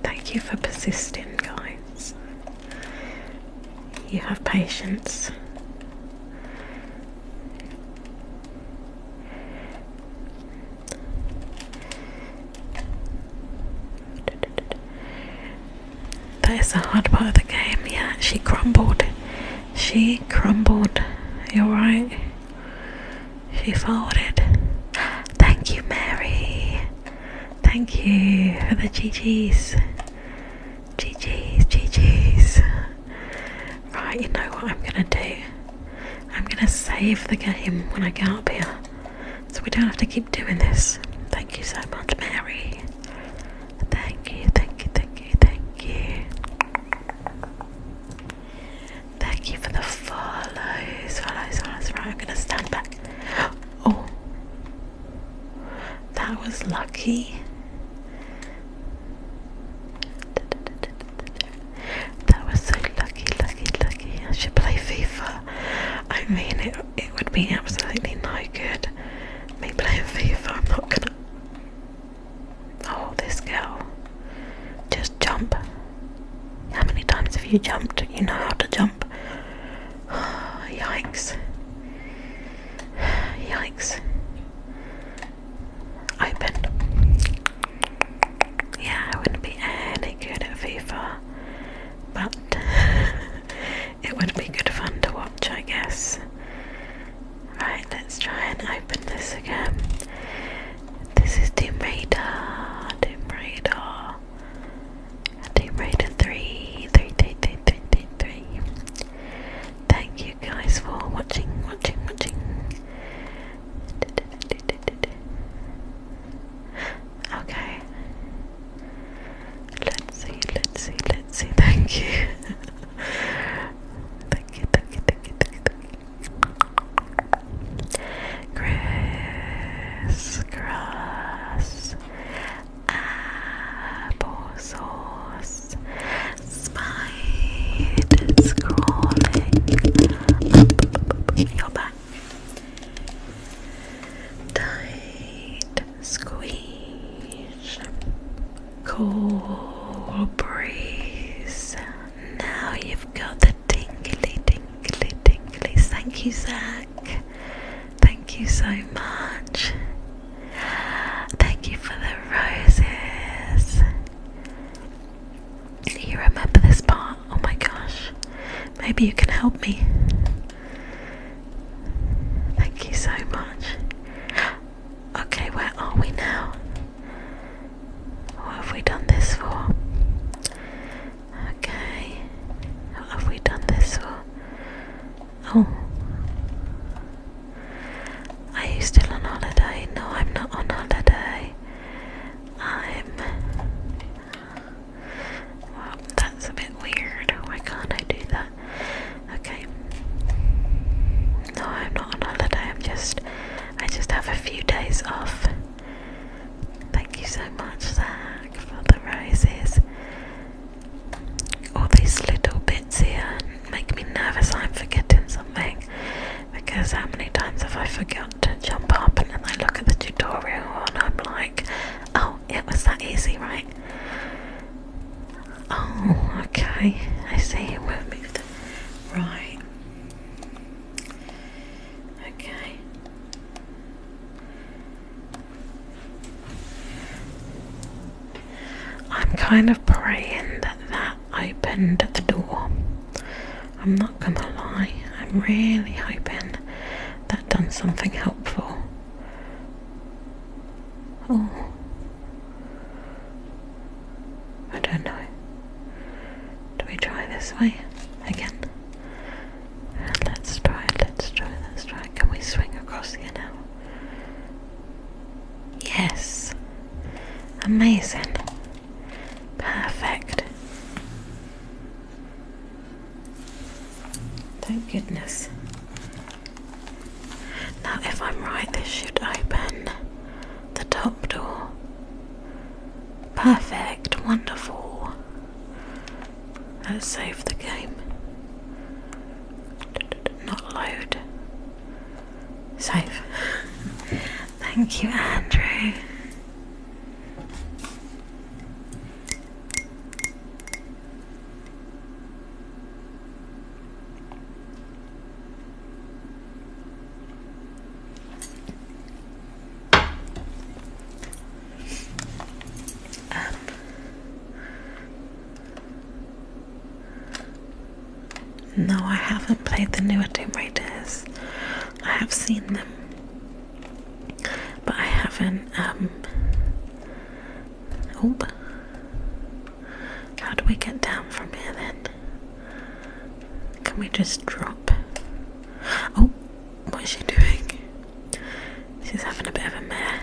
Thank you for persisting, guys. You have patience. That is the hard part of the game. Yeah, she crumbled. She crumbled. You're right. She folded. Thank you, Mary. Thank you for the GGs. GGs, GGs. Right, you know what I'm gonna do? I'm gonna save the game when I get up here. So we don't have to keep doing this. Thank you so much, Mary. Thank you, thank you, thank you, thank you. Thank you for the follows. Follows, follows. Right, I'm gonna stand back. Oh, that was lucky. That was so lucky, lucky, lucky. I should play FIFA. I mean, it, it would be absolutely no good me playing FIFA. I'm not gonna. Oh, this girl. Just jump. How many times have you jumped? You know how to jump. Oh, yikes. Yikes. Open. Yeah, I wouldn't be any good at FIFA, but it would be good fun to watch, I guess. Right, let's try and open this again. This is Tomb Raider, Tomb Raider, Tomb Raider 3, Thank you guys for watching, watching, watching. Okay. Let's see, let's see, let's see. thank you, thank you, thank you, thank you, thank you. Crisscross applesauce spiders crawling your back tight squeeze cool breeze now you've got the tingly, tingly, tinglies. Thank you, Zach. Thank you so much. Thank you for the roses. You remember this part? Oh my gosh. Maybe you can help me. Thank you so much. Okay, where are we now? What have we done this for? Okay. What have we done this for? Oh. Are you still on holiday? No, I'm not on holiday. I'm. Well, that's a bit weird. Why can't I do that? Okay. No, I'm not on holiday. I'm just I just have a few days off. Thank you so much, Zach, for the roses. All these little bits here make me nervous I'm forgetting something because how many times have I forgot to jump up and then I look at the tutorial and I'm like, oh, it was that easy, right? Oh, okay, I see, move the right. Okay. I'm kind of praying that that opened the door. I'm not gonna lie, I'm really hoping that done something helpful. Oh, I don't know. Do we try this way again? Let's try let's try, let's try. Can we swing across here now? Yes! Amazing! Perfect! Thank goodness. Now, if I'm right, this should open the top door. Perfect, wonderful. Let's save the game. Not load. Save. Thank you, Andrew. Um, no, I haven't played the newer Tomb Raiders. I have seen them, but I haven't. Um, oh, how do we get down from here then? Can we just drop? Oh, what's she doing? She's having a bit of a mare.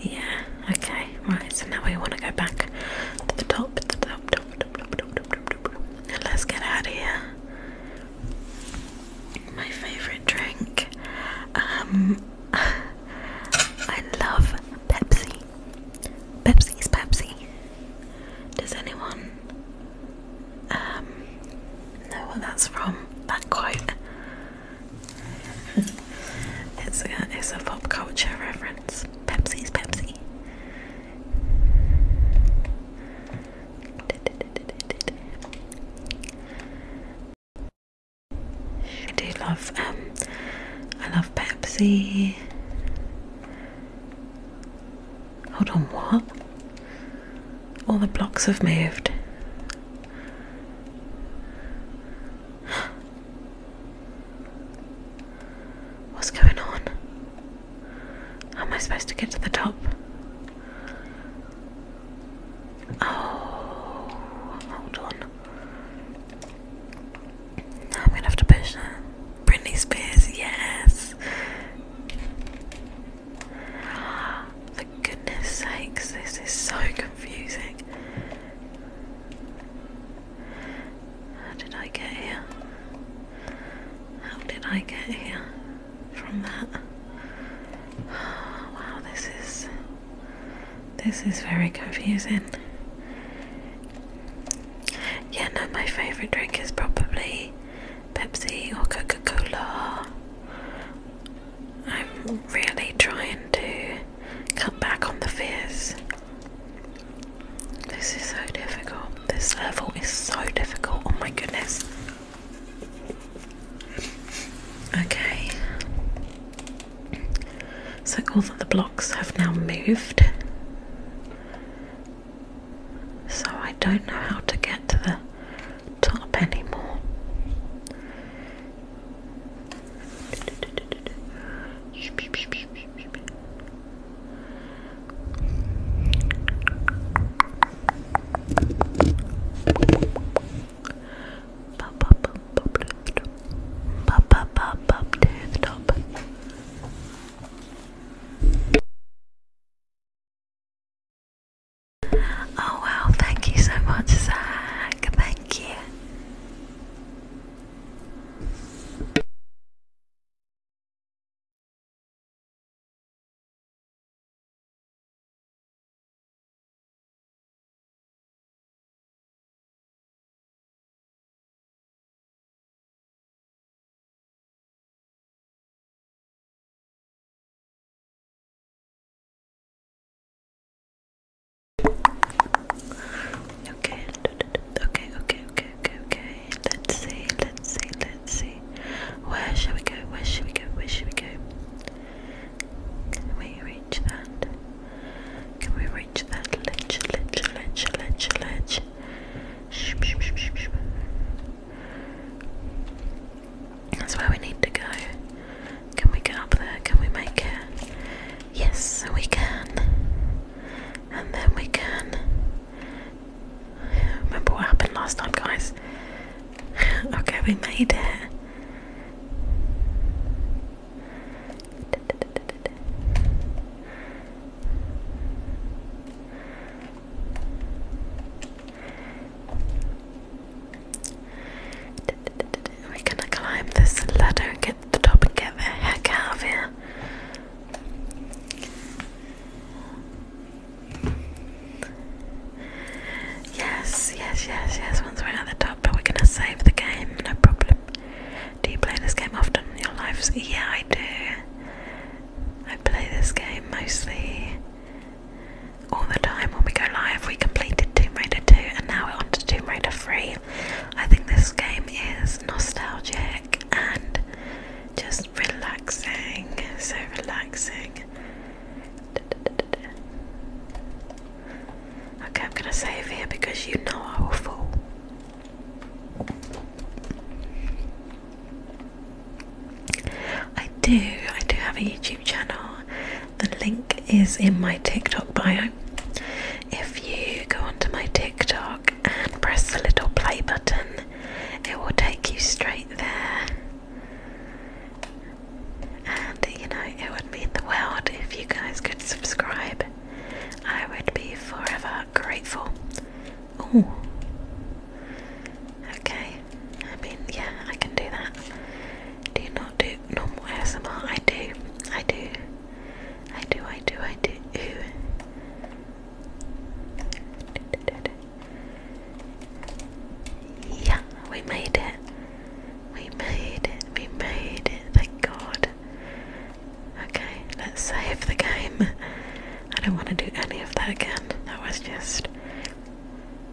Yeah, okay, right, so now we want to go back to the top, the top. Let's get out of here. My favourite drink. Um I love Pepsi. Pepsi's Pepsi. Does anyone um, know where that's from? That quote. it's a it's a pop culture reference. Pepsi's Pepsi. I do love um I love Pepsi. Hold on, what? All the blocks have moved. What's going on? How am I supposed to get to the top? Oh, hold on. Now I'm gonna have to push that. Britney Spears, yes. For goodness sakes, this is so confusing. How did I get here? How did I get here from that? wow, this is this is very confusing. Yeah, no, my favourite drink is probably Pepsi or Coca Cola. I'm really trying to cut back on the fizz. This is so difficult. This level is so difficult. Oh my goodness. Okay. So all of the blocks have now moved. So I don't know how to get to the top anymore. Up, up, up, up to the top. Oh wow, thank you so much, Zach. Thank you. Okay, okay, okay, okay, okay, Let's see, let's see, let's see. Where shall we go? Where should we go? Where should we go? Can we reach that? Can we reach that ledge, ledge, ledge, ledge, ledge? That's where we need to go. Can we get up there? Can we make it? Yes, we can. And then we can. Remember what happened last time, guys? okay, we made it. We're gonna climb this ladder, get to the top, and get the heck out of here. Yes, yes, yes, yes. Once we're at the top, but we're gonna save the game, no problem. Do you play this game often in your life, Yeah, I do. I play this game mostly all the time when we go live. We completed Tomb Raider 2 and now we're on to Tomb Raider 3. I think this game is nostalgic and just relaxing. So relaxing. Okay, I'm gonna save here because you know I will fall. I do, I do have a YouTube channel. The link is in my TikTok bio. If you go onto my TikTok and press the little play button, it will take you straight there. And you know, it would mean the world if you guys could subscribe. I would be forever grateful. Ooh. Okay. I mean, yeah, I can do that. Do not do normal ASMR? I do. I do. I do, I do, I do. Yeah, we made it. We made it. We made it. Thank God. Okay, let's save the game. I don't want to do any of that again. That was just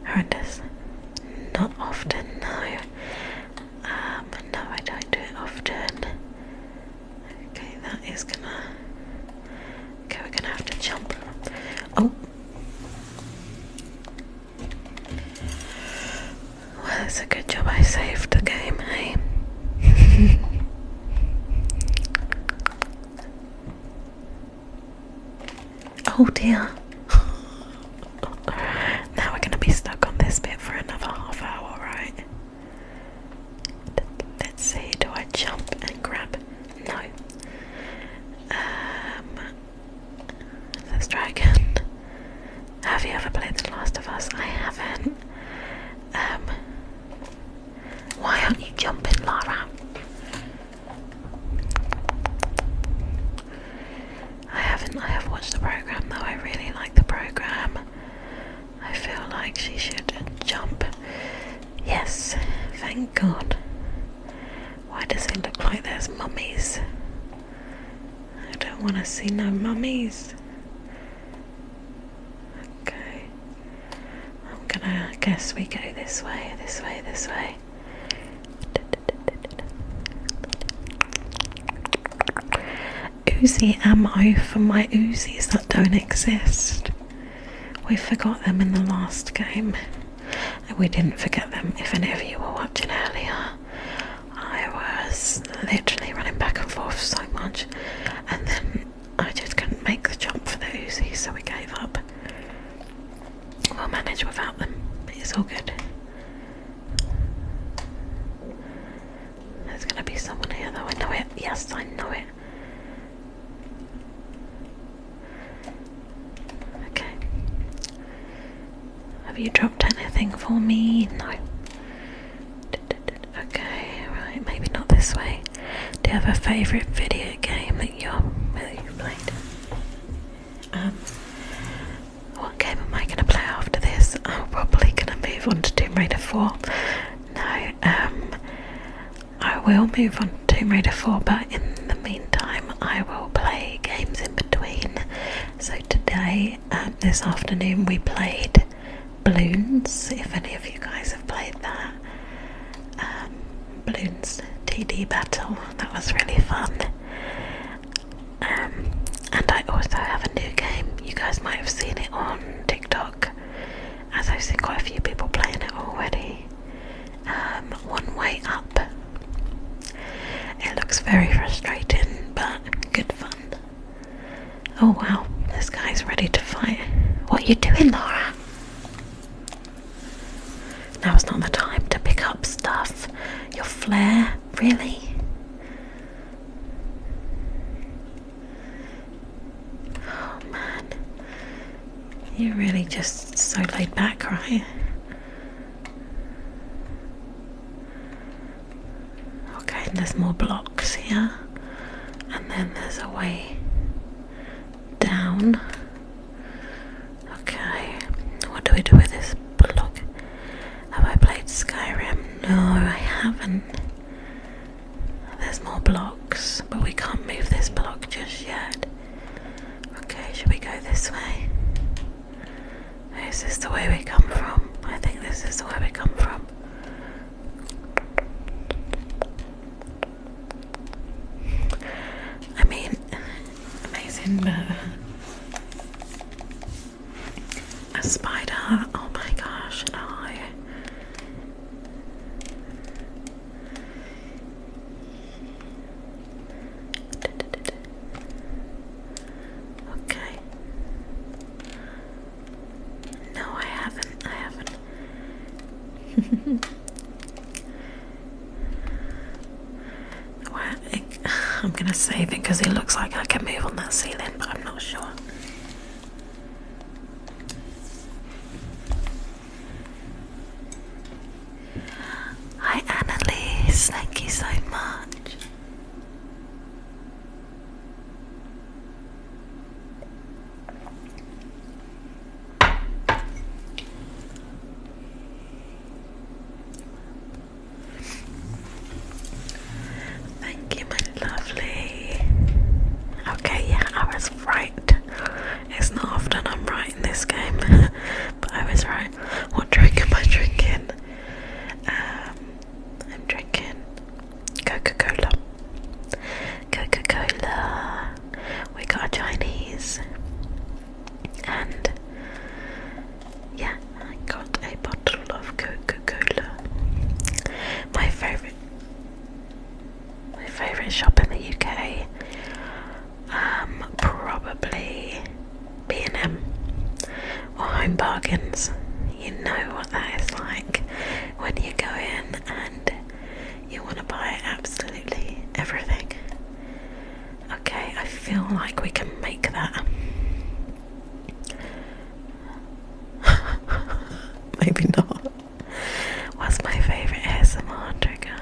horrendous. Not often, no. Um, no, I don't do it often. Okay, that is gonna. Okay, we're gonna have to jump. Oh! Well, it's a good job I saved the game, hey? oh dear. now we're going to be stuck on this bit for another half hour, right? Let's see, do I jump and grab? No. Um, let's try again. Have you ever played The Last of Us? I haven't. Um, why aren't you jumping, Lara? I haven't. I have watched the program though. I really like the program. I feel like she should jump. Yes, thank God. Why does it look like there's mummies? I don't want to see no mummies. Okay. I'm gonna guess we go this way, this way, this way. Uzi ammo for my Uzis that don't exist. We forgot them in the last game. We didn't forget them if any of you were watching earlier. I was literally running back and forth so much and then I just couldn't make the jump for the Uzis, so we gave up. We'll manage without them, it's all good. There's gonna be someone here though, I know it. Yes, I know it. Okay. Have you dropped anything for me? No. D -d -d Okay. Right. Maybe not this way. Do you have a favourite video game that you're that played? Um. What game am I going to play after this? I'm probably going to move on to Tomb Raider 4. No, um, I will move on to Tomb Raider 4, but in the meantime, I will play games in between. So today, um, this afternoon, we played Balloons, if any of you guys have played that. Um, balloons TD battle, that was really fun. Um, and I also have a new game, you guys might have seen it on TikTok, as I've seen quite a few people playing it already. Um, one Way Up. It looks very frustrating, but good fun. Oh wow, this guy's ready to fight. What are you doing, Laura? Now's not the time to pick up stuff. Your flair, really? Oh man, you're really just so laid back, right? Okay, there's more blocks here and then there's a way down. Okay, what do we do with this block? Have I played Skyrim? No, I haven't. There's more blocks, but we can't move this block just yet. Okay, should we go this way? Is this the way we come from? I think this is the way we come from. I mean, amazing, but a spider. Oh my gosh, no. Okay. No, I haven't. I haven't. I'm gonna save it because it looks like I can move on that ceiling, but I'm not sure. Hi, Annalise, thank you so much. Thank you, my lovely. Okay, yeah, I was right. It's not often I'm right in this game, but I was right. What drink am I drinking? Um, I'm drinking Coca-Cola. Coca-Cola. We got a Chinese. And yeah, I got a bottle of Coca-Cola. My favourite my favourite shop in the UK. Um probably B&M or Home Bargains. You know what that is like when you go in and you want to buy absolutely everything. Okay, I feel like we can make that. Maybe not. What's my favourite ASMR trigger?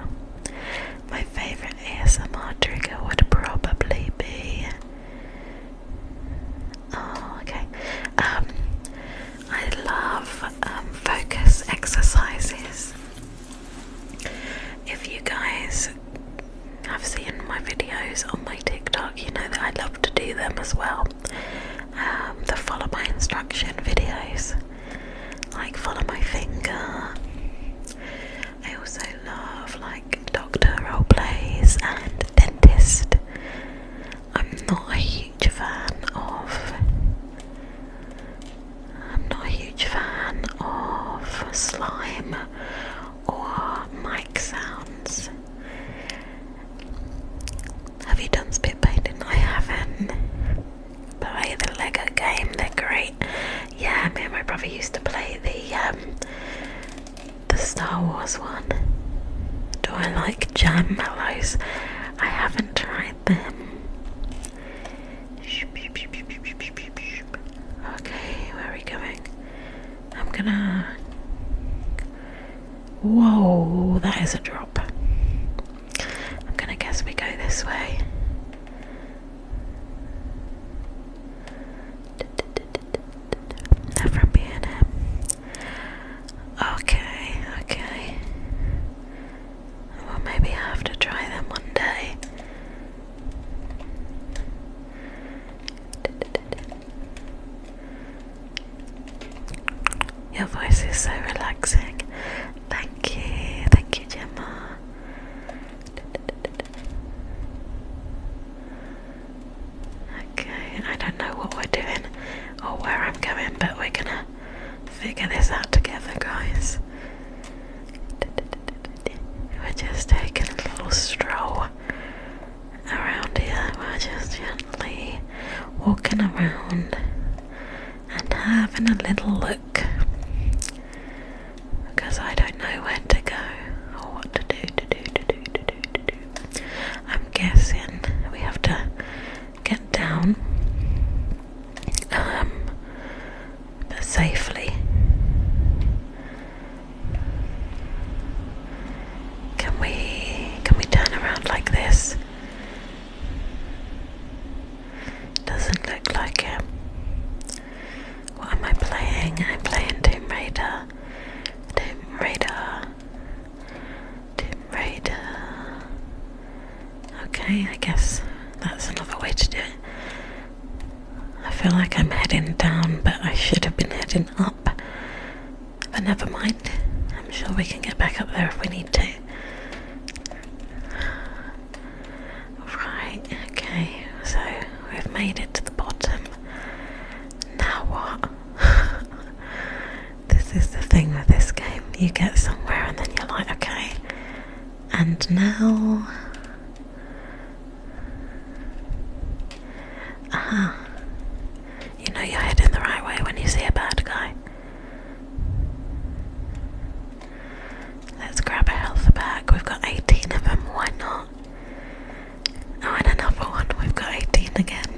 My favourite ASMR trigger would probably be Oh, okay. Um, I love um, focus exercises. If you guys have seen my videos on my TikTok, you know that I love to do them as well. Um, the follow my instruction videos, like follow my finger. I also love like doctor role plays and dentist I'm not a huge fan of. I'm not a huge fan of slime or mic sounds. Have you done spit painting? I haven't. Play the Lego game, they're great. Yeah, me and my brother used to play the um, the Star Wars one. Do I like jam mellows? I haven't tried them. Okay, where are we going? I'm gonna. Whoa, that is a drop. I'm gonna guess we go this way. they from BNM. Okay, okay. Well, maybe I have to try them one day. Your voice is so relaxing. Thank you, thank you, Gemma. Okay, I don't know what we're doing or where I'm going, but we're gonna figure this out together, guys. We're just taking a little stroll around here. We're just gently walking around and having a little look because I don't know where to go or what to do to do to do to do to do. I'm guessing we have to get down um, safely. Can we can we turn around like this? Doesn't look like it. What am I playing? I'm playing Tomb Raider. Tomb Raider. Tomb Okay, I guess that's another way to do it. I feel like I'm heading down, but I should have been heading up. But never mind. I'm sure we can get back up there if we need to. Right, okay, so we've made it to the bottom. Now what? This is the thing with this game. You get somewhere and then you're like, okay, and now. Uh -huh. You know you're heading the right way when you see a bad guy. Let's grab a health bag. We've got 18 of them, why not? Oh, and another one. We've got 18 again.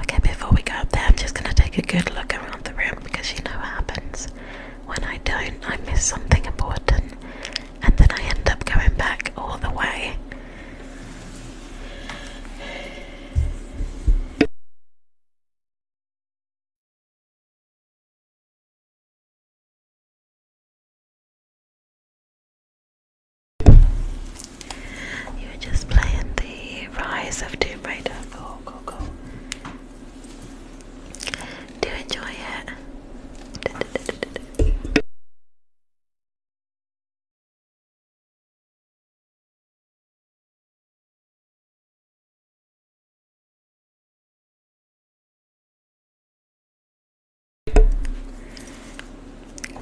Okay, before we go up there, I'm just gonna take a good look around the room because you know what happens when I don't, I miss something important and then I end up going back all the way. You are just playing the Rise of Tomb Raider. Cool, cool, cool. Do enjoy it?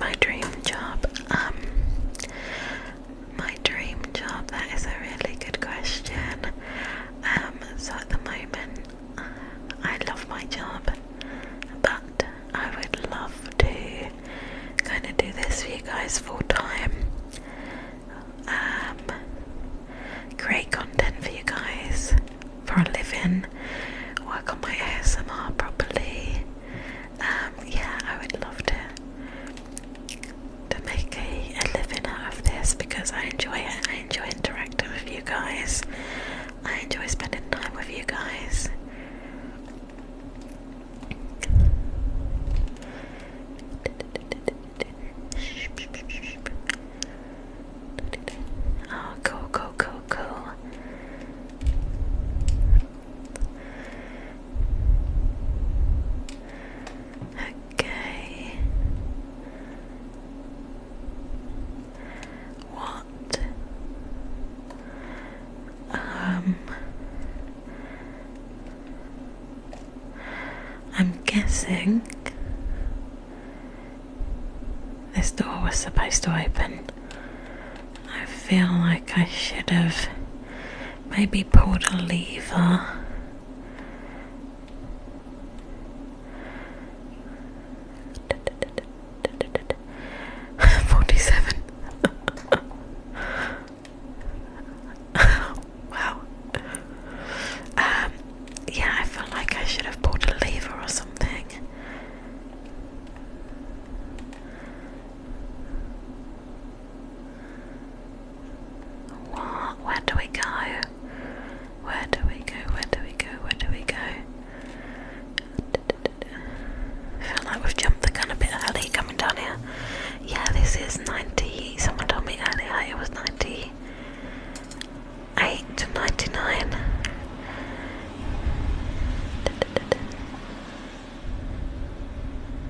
my dream job. Um, my dream job. That is a really good question. Um, so at the moment, I love my job, but I would love to kind of do this for you guys full time. Um, create content for you guys for a living, work on my ASMR properly, um, yeah, I would love to to make a, a living out of this because I enjoy it. I enjoy interacting with you guys. I enjoy spending time with you guys. Oh, cool, cool, cool, cool. Okay. What? Um I'm guessing this door was supposed to open I feel like I should have maybe pulled a lever. Forty-seven. wow. Um. Yeah, I feel like I should have pulled a lever or something. Where do we go? Where do we go? Where do we go? Where do we go? feel like we've jumped the gun a bit early coming down here. Yeah, this is 90. Someone told me earlier it was 98 to 99.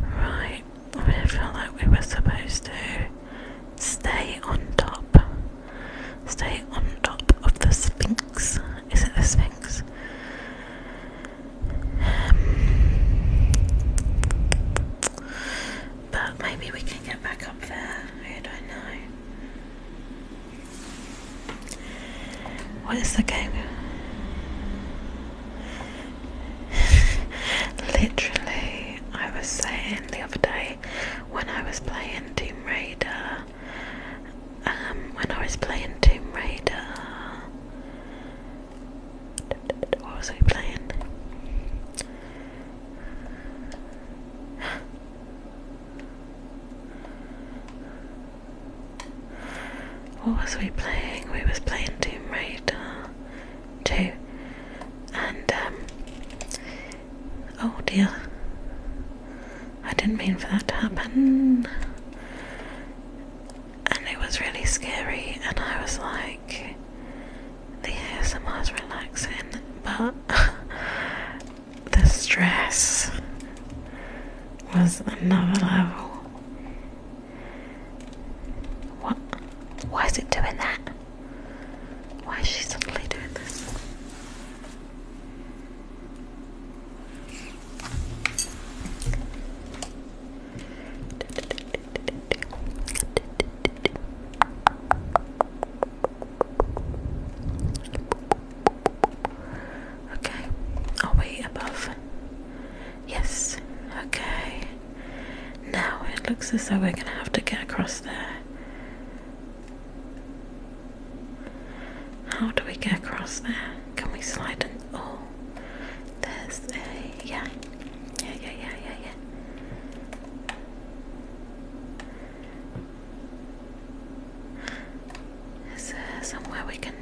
Right, we felt like we were supposed to stay on top. Stay on top of the Sphinx. Is it the Sphinx? but maybe we can get back up there. I don't know. What is the game? Literally, I was saying the other day when I was playing Tomb Raider, um, when I was playing Tomb Raider, what was I playing? What was we playing? We was playing Tomb Raider too. And, um, oh dear, I didn't mean for that to happen. And it was really scary, and I was like, the ASMR is relaxing, but the stress was another level. What? Why is it doing that? Why is she suddenly doing this? Okay, are we above? Yes, okay. Now it looks as though we're going to have to get across there. How do we get across there? Can we slide in? Oh, there's a. Yeah. Yeah, yeah, yeah, yeah, yeah. Is there somewhere we can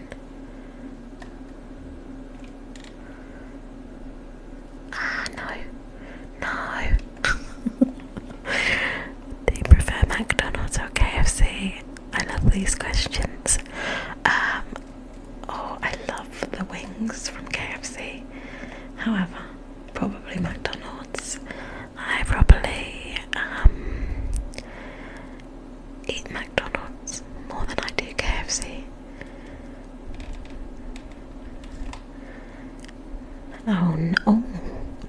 Ah, no. No. Do prefer McDonald's or KFC? I love these questions. Um, oh, I love the wings from KFC. However, probably McDonald's. I probably um, eat McDonald's more than I do KFC. Oh no! Oh,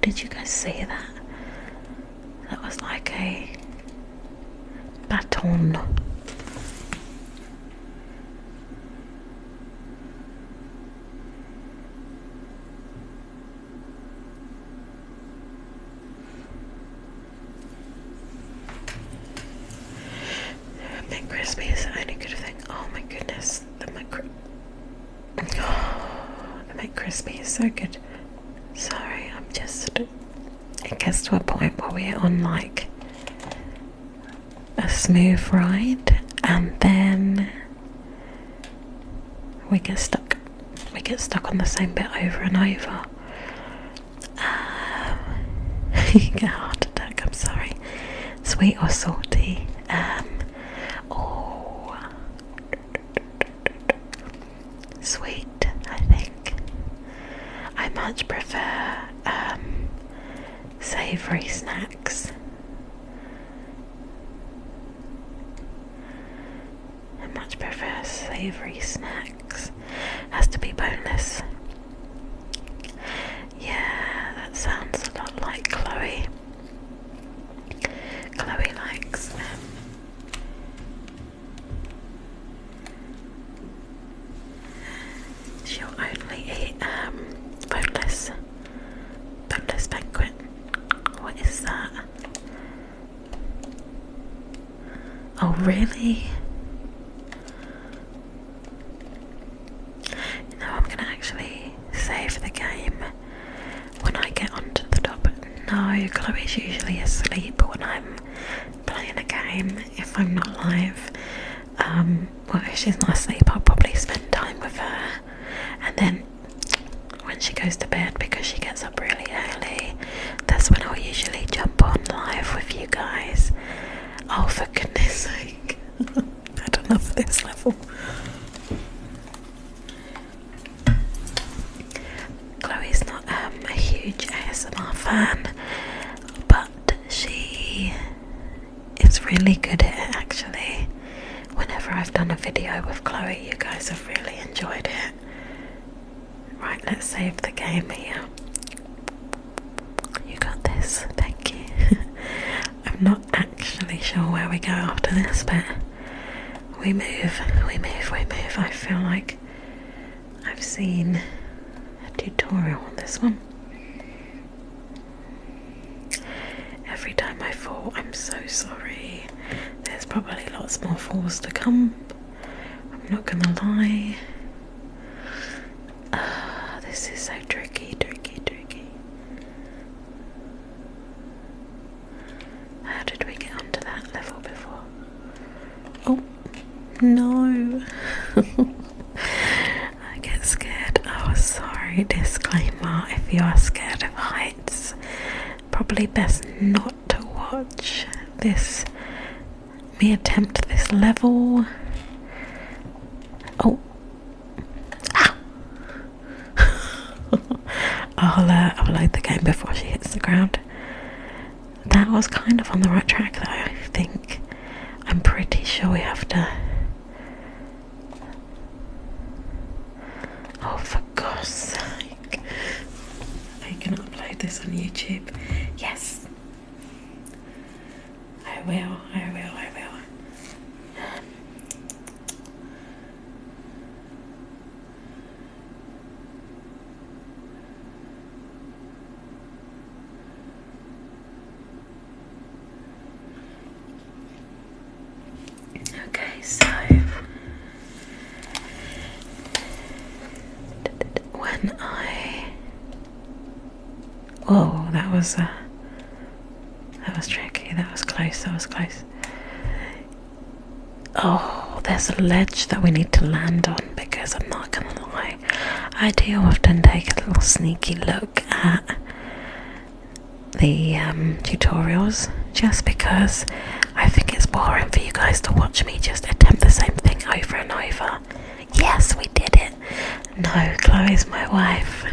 did you guys see that? That was like a baton. McCrispy is any good thing. Oh my goodness, the McCr is so good. Sorry, I'm just. It gets to a point where we're on like a smooth ride, and then we get stuck. We get stuck on the same bit over and over you um, get a heart attack, I'm sorry. Sweet or salty? Um, oh, sweet, I think. I much prefer um, savoury snacks. I much prefer savoury snacks. Has to be boneless. Yeah, that sounds a lot like Chloe. Chloe likes um, only eat um boneless boneless banquet. What is that? Oh really? You I'm gonna actually save the game when I get onto the top. No, Chloe's usually asleep when I'm playing a game if I'm not live. Um, well, if she's not asleep, I'll probably spend time with her, and then when she goes to bed, because she gets up really early, that's when I'll usually jump on live with you guys. Oh, for goodness sake. I don't love this level. Chloe's not um, a huge ASMR fan, but she is really good at it actually. Whenever I've done a video with Chloe, you guys have really enjoyed it. Right, let's save the game here. You got this, thank you. I'm not actually sure where we go after this, but we move, we move, we move. I feel like I've seen a tutorial on this one. Every time I fall, I'm so sorry. There's probably lots more falls to come. I'm not gonna lie. Ah, this is so tricky, tricky, tricky. How did we get onto that level before? Oh, no. I get scared. Oh, sorry. Disclaimer if you are scared of heights, probably best not to watch this me attempt this level. Oh. Ow. Ah. I'll, uh, I'll load the game before she hits the ground. That was kind of on the right track, though, I think. I'm pretty sure we have to. Oh, for God's sake. Are you going to upload this on YouTube? Yes, I will, I will, I will. Okay, so when I Oh, that was uh, that was tricky. That was close. That was close. Oh, there's a ledge that we need to land on because I'm not gonna lie, I do often take a little sneaky look at the um, tutorials just because I think it's boring for you guys to watch me just attempt the same thing over and over. Yes, we did it. No, Chloe's my wife.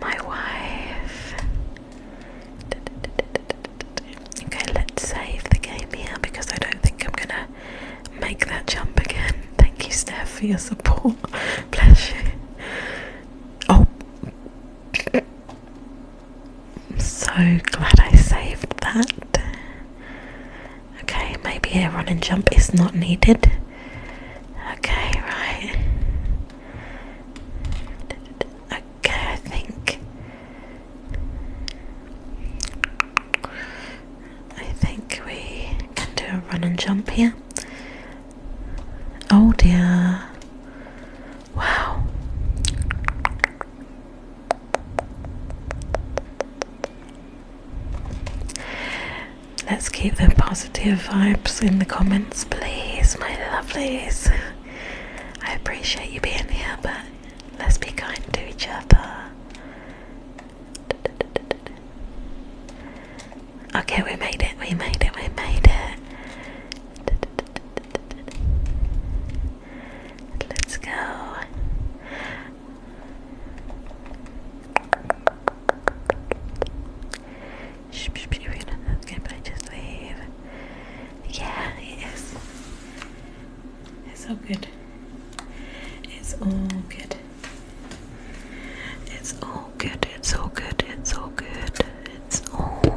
My wife. Okay, let's save the game here because I don't think I'm gonna make that jump again. Thank you, Steph, for your support. Bless you. Oh. so glad I saved that. Okay, maybe a run and jump is not needed. Okay, right. Okay, I think. I think we can do a run and jump here. Oh dear. Wow. Let's keep the positive vibes in the comments, please, my lovelies. I appreciate you being here, but let's be kind to each other. Okay, we made it, we made it, we made it. Let's go it is. It's all good. It's all good. It's all good. It's all good. It's all good. It's all good.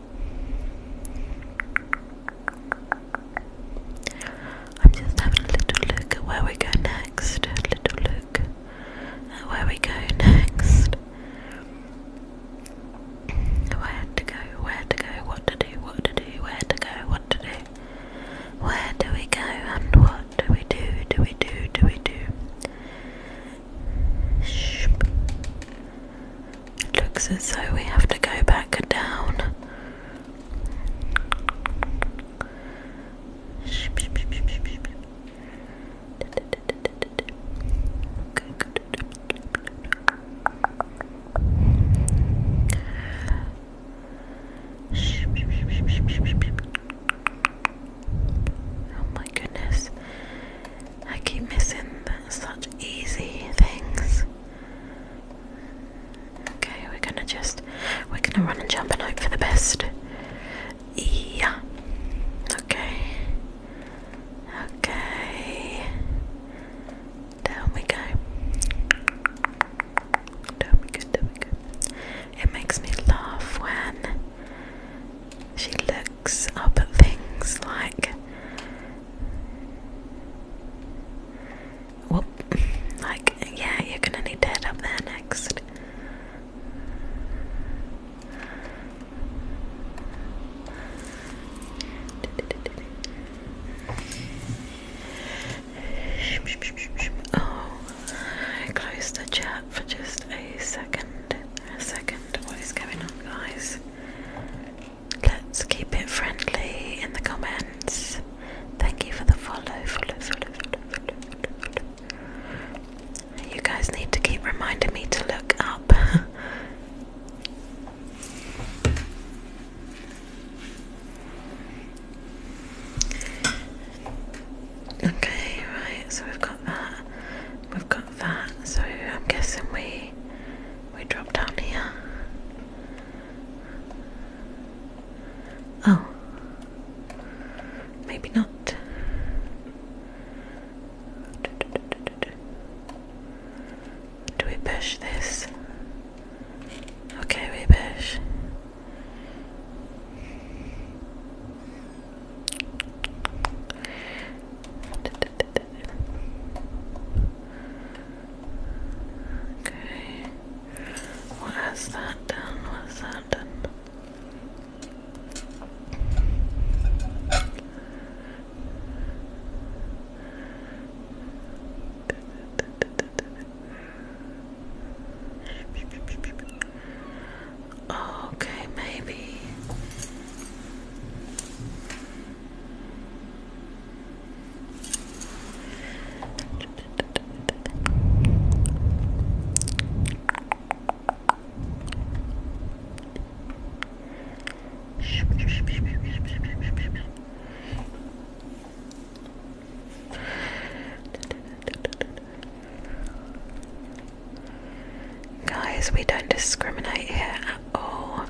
I'm just having a little look at where we go next. A little look at where we go next. Where to go, where to go, what to do, what to do, where to go, what to do. Where do we go and what do we do? Do we do, do we do? Shh. It looks as though we have to go back down. Oh my goodness, I keep missing such easy things. Okay, we're gonna just we're gonna run and jump and hope for the best. Yeah. Okay. Okay. Down we go. Down we go, down we go. It makes me laugh when she looks up at things like well like yeah you're gonna need to up there next Oh, I closed the chat for just a second. A second. What is going on, guys? Let's keep it friendly in the comments. Thank you for the follow, follow, follow, follow, follow, follow. You guys need to keep reminding me to look up. okay, right, so we've got that. We've got that. So I'm guessing we we drop down here. Oh. Maybe not. Do we push this? Okay, we push. Okay. What has that done? What has that done? Okay, maybe. Guys, we don't discriminate here at all.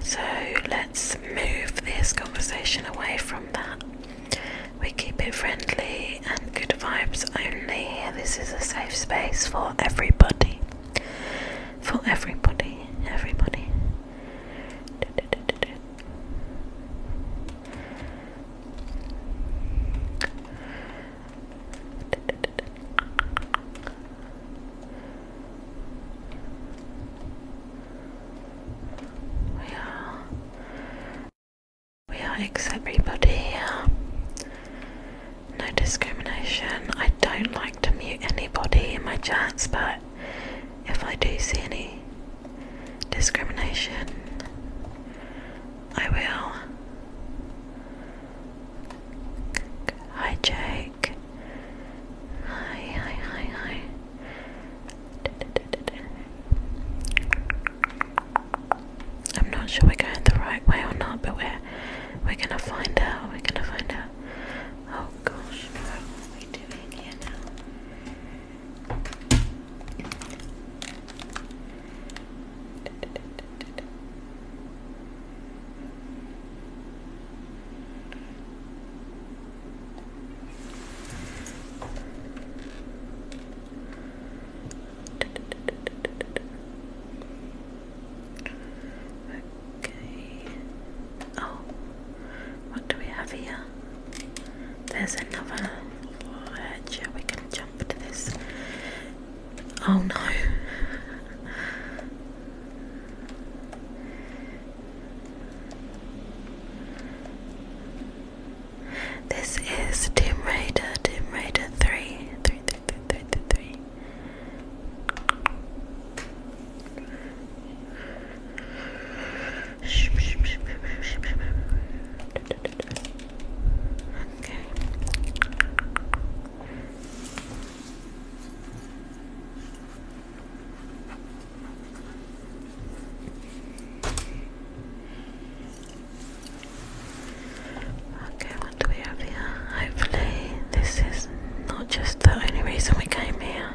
So let's move this conversation away from that. We keep it friendly and good vibes only here. This is a safe space for everybody. For everybody, everybody. We are, we are everybody here. No discrimination. I don't like to mute anybody in my chats, but if I do see any discrimination, I will. Hi, Jake. Hi, hi, hi, hi. I'm not sure we're going the right way or not, but we're we're gonna find out. We're gonna find out. Oh gosh, what are we doing here now? Okay. Oh, what do we have here? There's another ledge. Are we can jump to this? Oh no. This is Tomb Raider, Tomb Raider 3, Okay. Okay, what do we have here? Hopefully, this is not just the only reason we came here.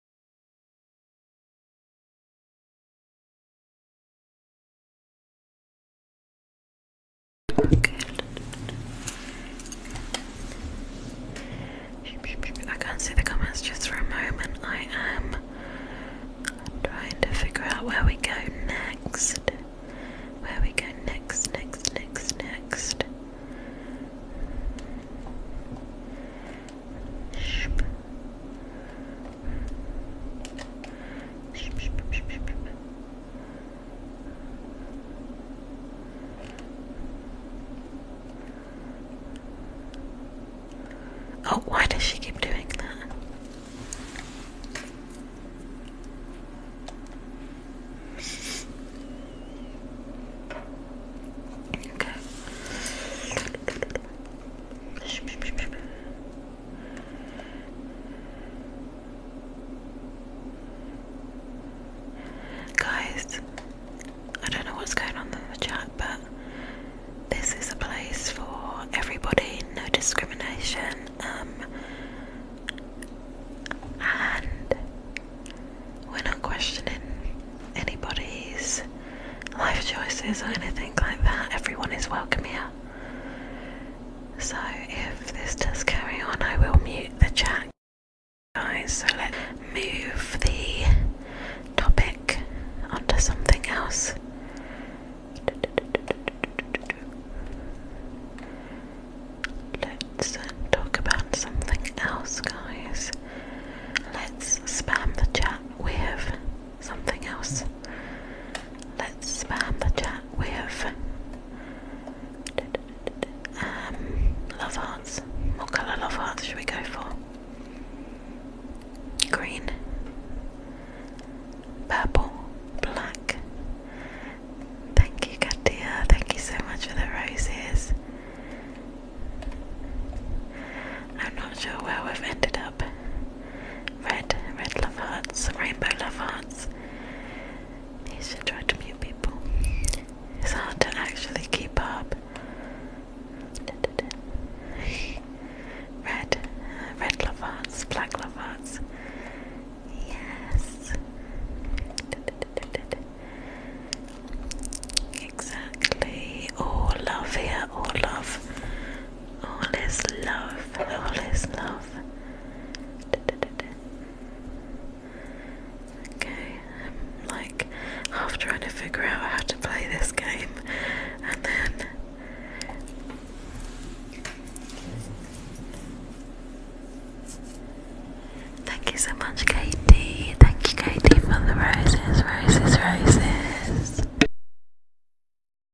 I can't see the comments just for a moment. I am trying to figure out where we go next. Where we go next, next, next, next. Oh, why does she keep doing that? Okay. Guys, I don't know what's going on in the chat, but this is a place for everybody, no discrimination. Um, and we're not questioning anybody's life choices or anything like that. Everyone is welcome here. So if this does carry on, I will mute the chat, guys. So let's move the topic onto something else. Let's uh, talk about something else, guys. Let's spam the chat with something else. Let's spam the chat with um, love hearts. What colour love hearts should we go for? Green, purple, black. Thank you, Katia. Thank you so much for the roses. I'm not sure where we've ended up. Red, red love hearts, rainbow love hearts. He should try to mute people. It's hard to actually keep up. Red, red love hearts, black love hearts. Yes. Exactly. All love here, all love all is love, all is love. Okay, I'm um, like half trying to figure out how to play this game, and then thank you so much, Katie. Thank you, Katie, for the roses, roses, roses.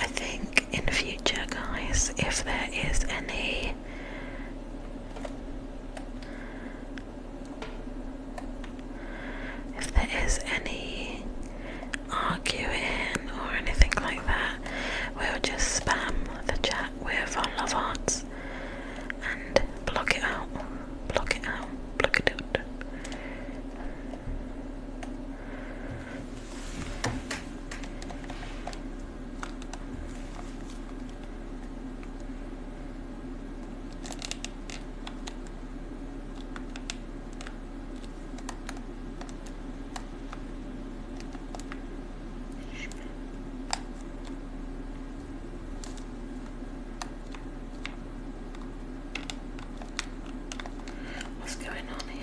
I think in the future, guys, if there is any if there is any arguing or anything like that, we'll just spam the chat with our love hearts and block it out. Block it out. Block it out. What's going on here?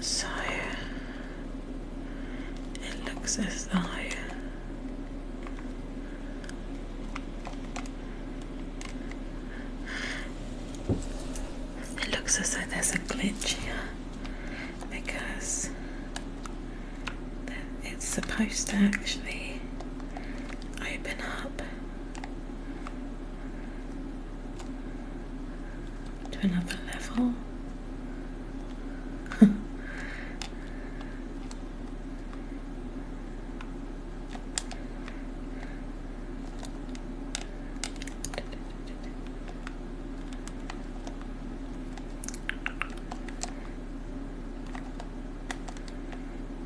So it looks as though it looks as though there's a glitch here because it's supposed to actually open up to another level.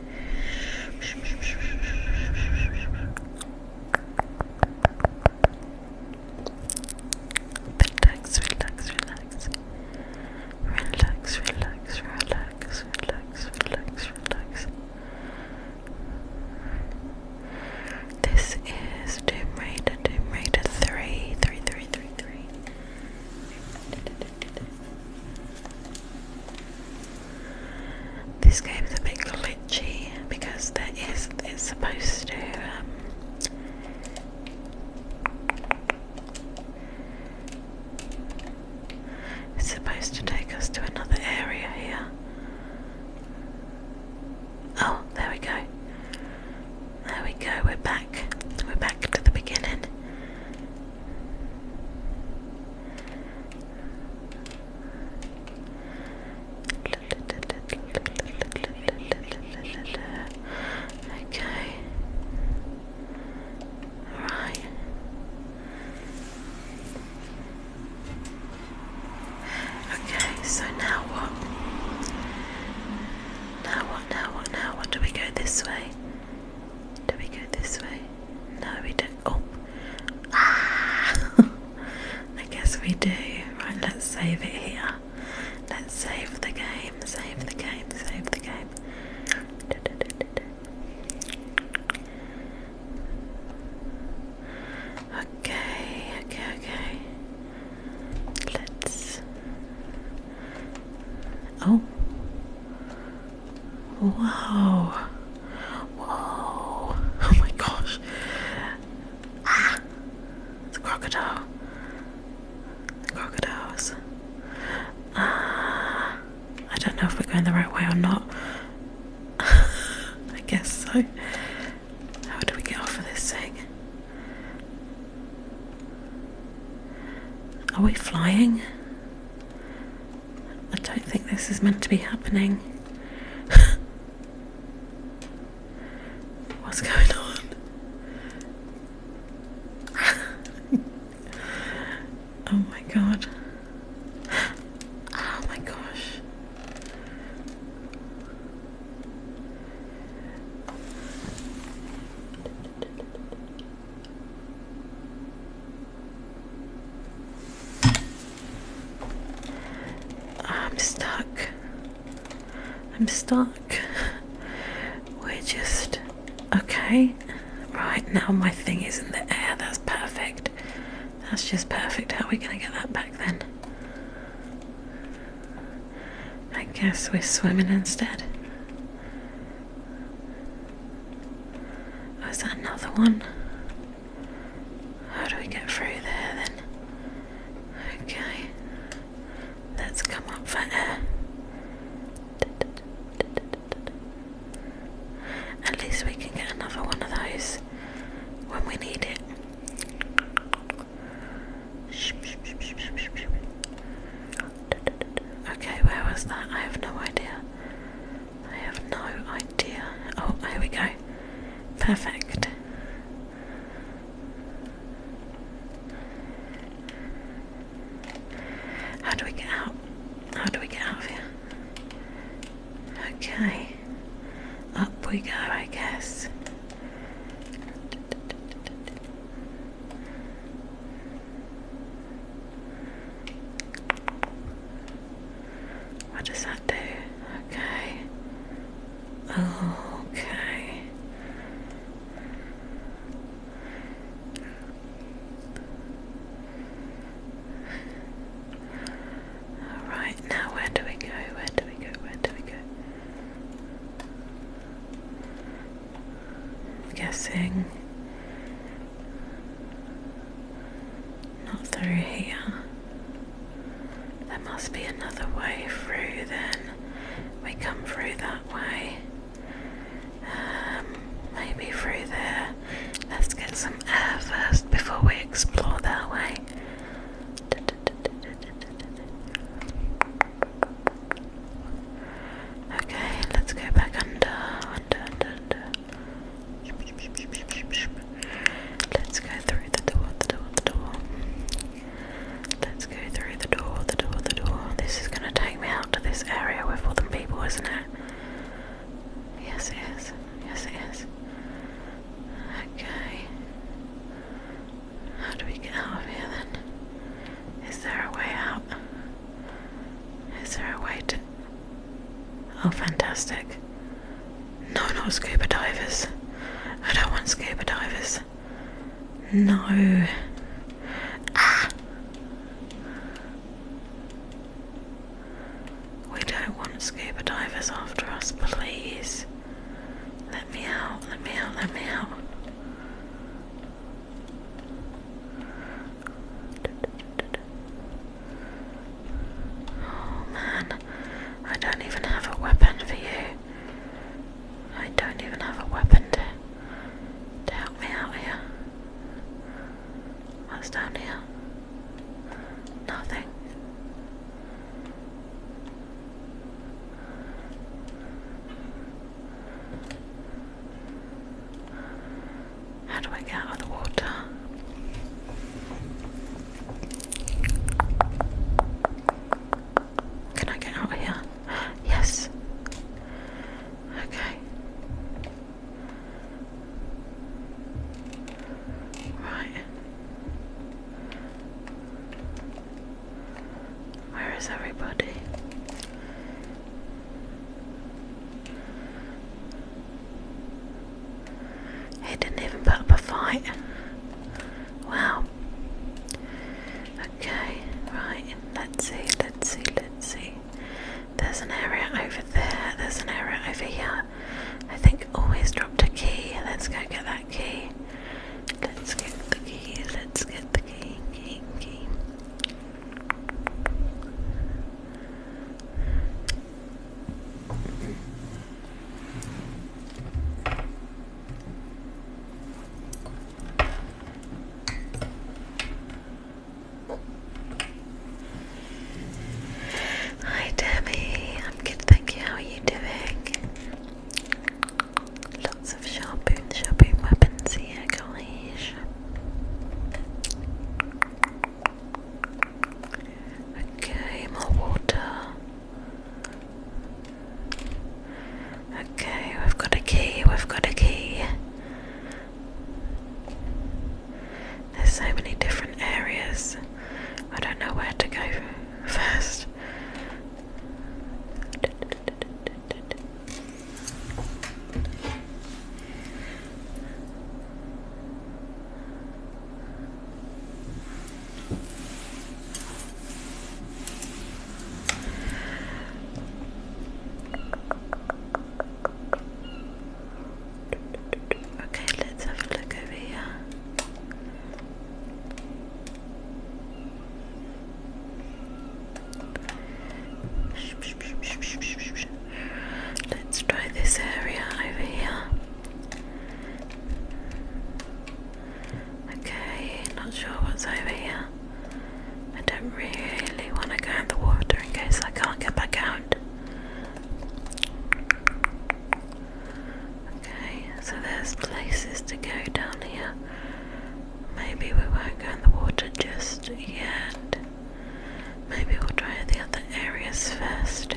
Relax, relax, relax. Relax, relax, relax, relax, relax, relax. This is Doom Raider, Doom Raider 3, 3, 3, 3, 3. This game is a bit glitchy because there is it's supposed to um, it's supposed to take us to another area here. Oh, there we go. There we go, we're back. We're back to the beginning. Okay. Right. Okay, so now what? Now what, now what, now what? Do we go this way? Do we go this way? No, we don't Oh, ah. I guess we do. Right, let's save it here. Let's save the game, save the game, save the game. Okay, okay, okay. Let's. Oh. Whoa. Whoa. Oh my gosh. Ah. The crocodile. crocodiles. Ah. I don't know if we're going the right way or not. I guess so. How do we get off of this thing? Are we flying? I don't think this is meant to be happening. What's going on? oh my god. Oh my gosh. I'm stuck. I'm stuck. We're just. Okay. Right, now my thing is in the air. That's perfect. That's just perfect. How are we going to get that back then? I guess we're swimming instead. Was oh, that another one? How do we get through there then? Okay, let's come up for air. At least we can get another one of those when we need it. Okay, where was that? I have no idea. I have no idea. Oh, here we go. Perfect. How do we get out? How do we get out of here? Okay. Up we go, I guess. What does that do? Okay. Okay. All right, now where do we go? Where do we go? Where do we go? I'm guessing not through here. There must be another way through then. We come through that way. Um, maybe through there. Let's get some air first before we explore that way. Okay, let's go back under, under, under, under. Let's go through the door, the door, the door. Let's go through the door, the door, the door. This is gonna take me out to this area with all people, isn't it? Yes, it is. Yes, it is. Okay. How do we get out of here then? Is there a way out? Is there a way to Oh, fantastic. No, not scuba divers. I don't want scuba divers. No. Ah! We don't want scuba divers after us, please. Let me out, let me out, let me out. Oh man, I don't even have a weapon for you. I don't even have a weapon to, to help me out here. What's down here? Nothing. How do I get out of the water? Can I get out here? Yes. Okay. Right. Where is everybody? He didn't even put up a fight. Wow. Okay, right, let's see, let's see, let's see. There's an area over there, there's an area over here. I think always oh, dropped a key. Let's go get that key. Let's get the key, let's get the key, key, key. Hi Debbie, I'm good, thank you. How are you doing? Lots of sharpoon, sharpoon weapons here, gosh. Okay, more water. Okay, we've got a key, we've got a key. There's so many different areas. I don't know where to go first. Okay, let's have a look over here. Let's try this area over here. Okay, not sure what's over here. I don't really want to go in the water in case I can't get back out. Okay, so there's places to go down here. Maybe we won't go in the water just yet. Maybe we'll try the other areas first.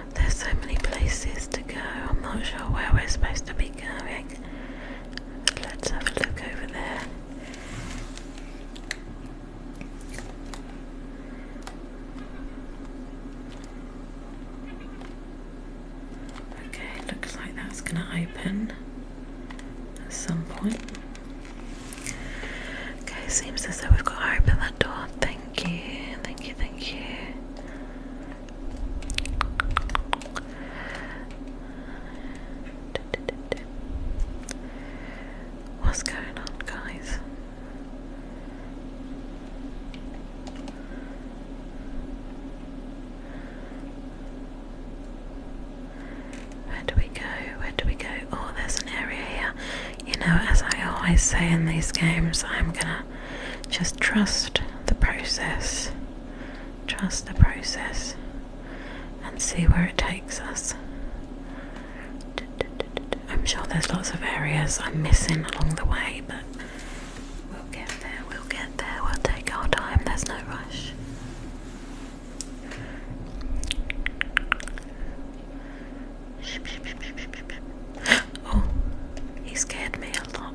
There's so many places to go. I'm not sure where we're supposed to be going. Let's have a look over there. Okay, looks like that's going to open at some point. Okay, seems as though we've got to open that door. Thank you, thank you, thank you. What's going on, guys? Where do we go? Where do we go? Oh, there's an area here. You know, as I always say in these games, I'm gonna just trust the process. Trust the process and see where it takes us. I'm sure there's lots of areas I'm missing along the way, but we'll get there, we'll get there, we'll take our time, there's no rush. Oh, he scared me a lot.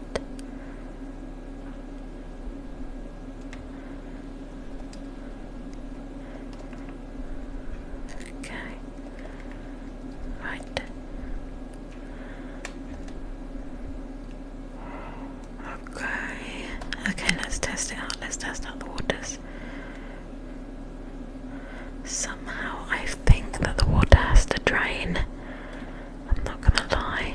Okay. Right. Okay. Okay, let's test it out. Let's test out the waters. Somehow I think that the water has to drain I'm not gonna lie.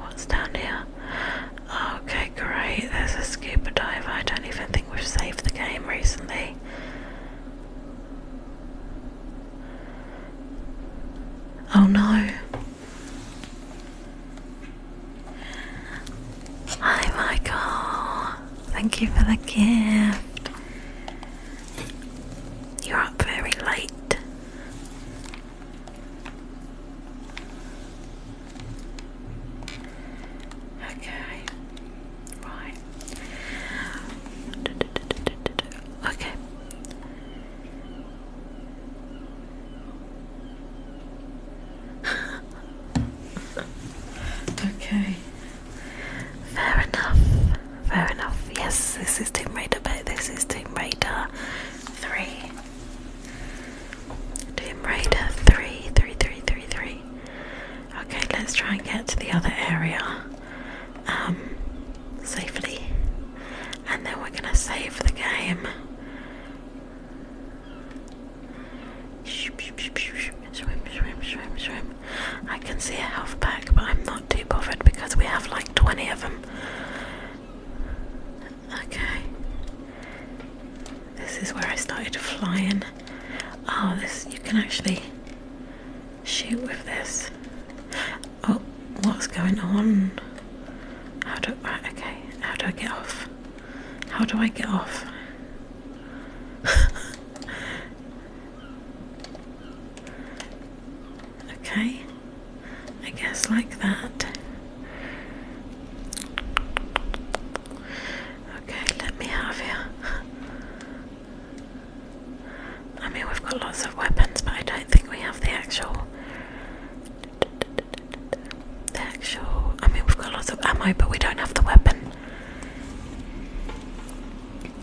What's down here? Okay, great. There's a scuba diver. I don't even think we've saved the game recently. Oh no. Hi, Michael thank you for the gift. You're up very late. Okay, right. Okay. okay. Fair enough. Fair enough. Yes, this is Team Raider, but this is Team Raider 3. Tomb Raider 3, Okay, let's try and get to the other area um, safely. And then we're going to save the game. Swim, swim, swim, swim. I can see a health pack, but I'm not too bothered because we have like 20 of them. Okay. This is where I started flying. Oh, this you can actually shoot with this. Oh, what's going on? How do right, okay? How do I get off? How do I get off? Okay, I guess like that. Okay, let me have you. I mean, we've got lots of weapons, but I don't think we have the actual. The actual. I mean, we've got lots of ammo, but we don't have the weapon.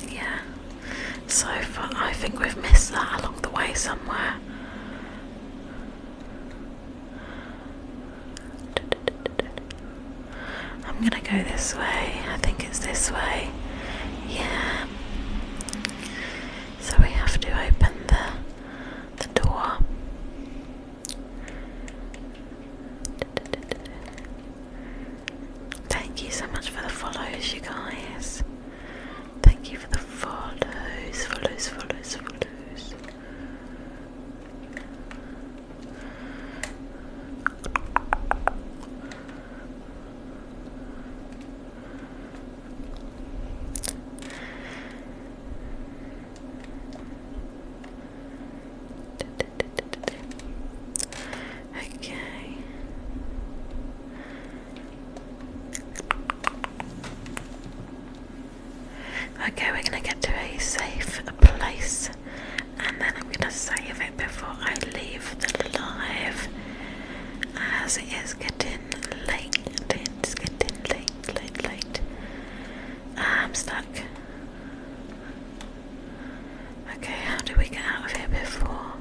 Yeah. So I think we've missed that along the way somewhere. I'm gonna go this way. I think it's this way. Yeah. So we have to open the the door. Thank you so much for the follows, you guys. Thank you for the follows, follows, follows, follows. Okay. Okay, we're gonna get to a safe place and then I'm gonna save it before I leave the live as it is getting late. It's getting late, late, late. Ah, I'm stuck. Okay, how do we get out of here before?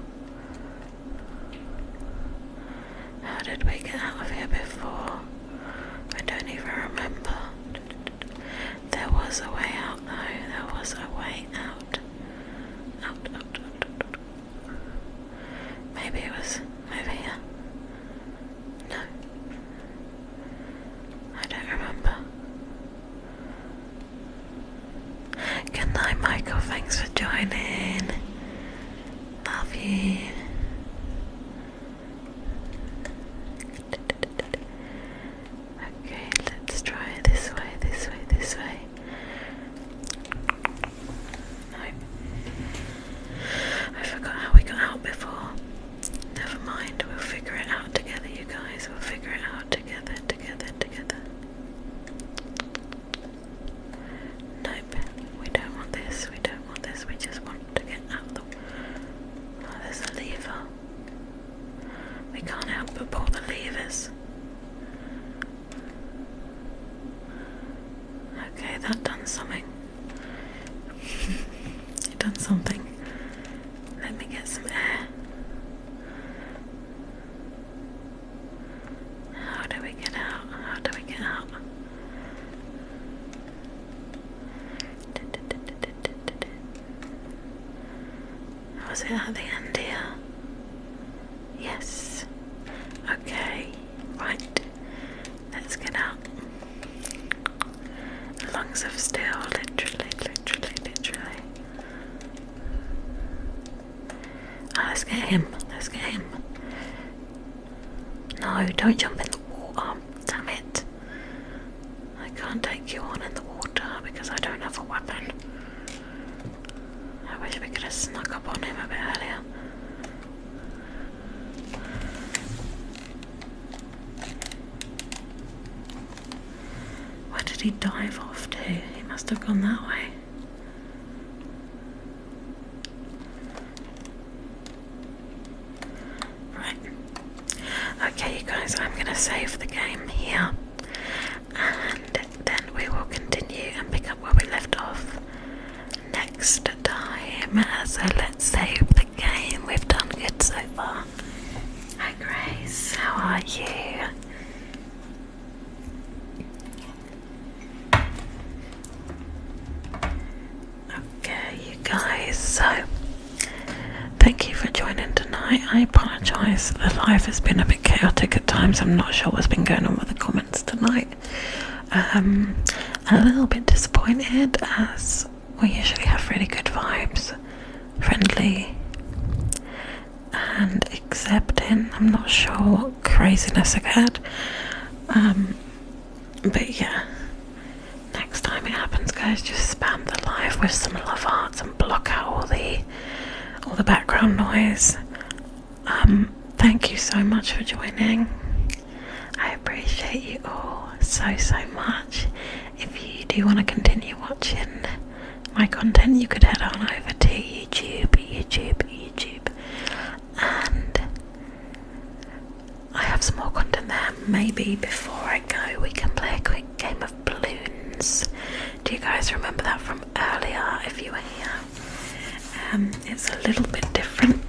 How did we get out of here before? I don't even remember. There was a way out though, there was a way out. Maybe it was over here. No. I don't remember. Good night, Michael. Thanks for joining. Love you. Okay, let's try this way, this way, this way. No. I forgot how we got out before. Never mind, we'll figure it out together, you guys. We'll figure it out together, together, together. Nope, we don't want this, we don't want this, we just want to get out the. Oh, there's a lever. We can't help but pull the levers. Okay, that done something. it done something. Let me get some air. How do we get out? How do we get out? Was it at the end here? Yes. Okay, right. Let's get out. Lungs of steel, literally, literally, literally. Ah, let's get him. Let's get him. No, don't jump in the water. Oh, damn it. I can't take you on in the water because I don't have a weapon. I wish we could have snuck up on him a bit earlier. Where did he dive off to? He must have gone that way. Right. Okay, you guys, I'm going to save the game here and then we will continue and pick up where we left off next time. So let's save the game. We've done good so far. Hi Grace, how are you? Okay, you guys, so thank you for joining tonight. I apologise, Life has been a bit chaotic at times. I'm not sure what's been going on with the comments tonight. Um, a little bit disappointed as we usually have really good vibes friendly and accepting. I'm not sure what craziness I've had. Um, but yeah, next time it happens, guys, just spam the live with some love hearts and block out all the all the background noise. Um, thank you so much for joining. I appreciate you all so so much, if you do want to continue watching my content, you could head on over to YouTube, YouTube, YouTube, and I have some more content there. Maybe before I go, we can play a quick game of balloons. Do you guys remember that from earlier? If you were here, um, it's a little bit different.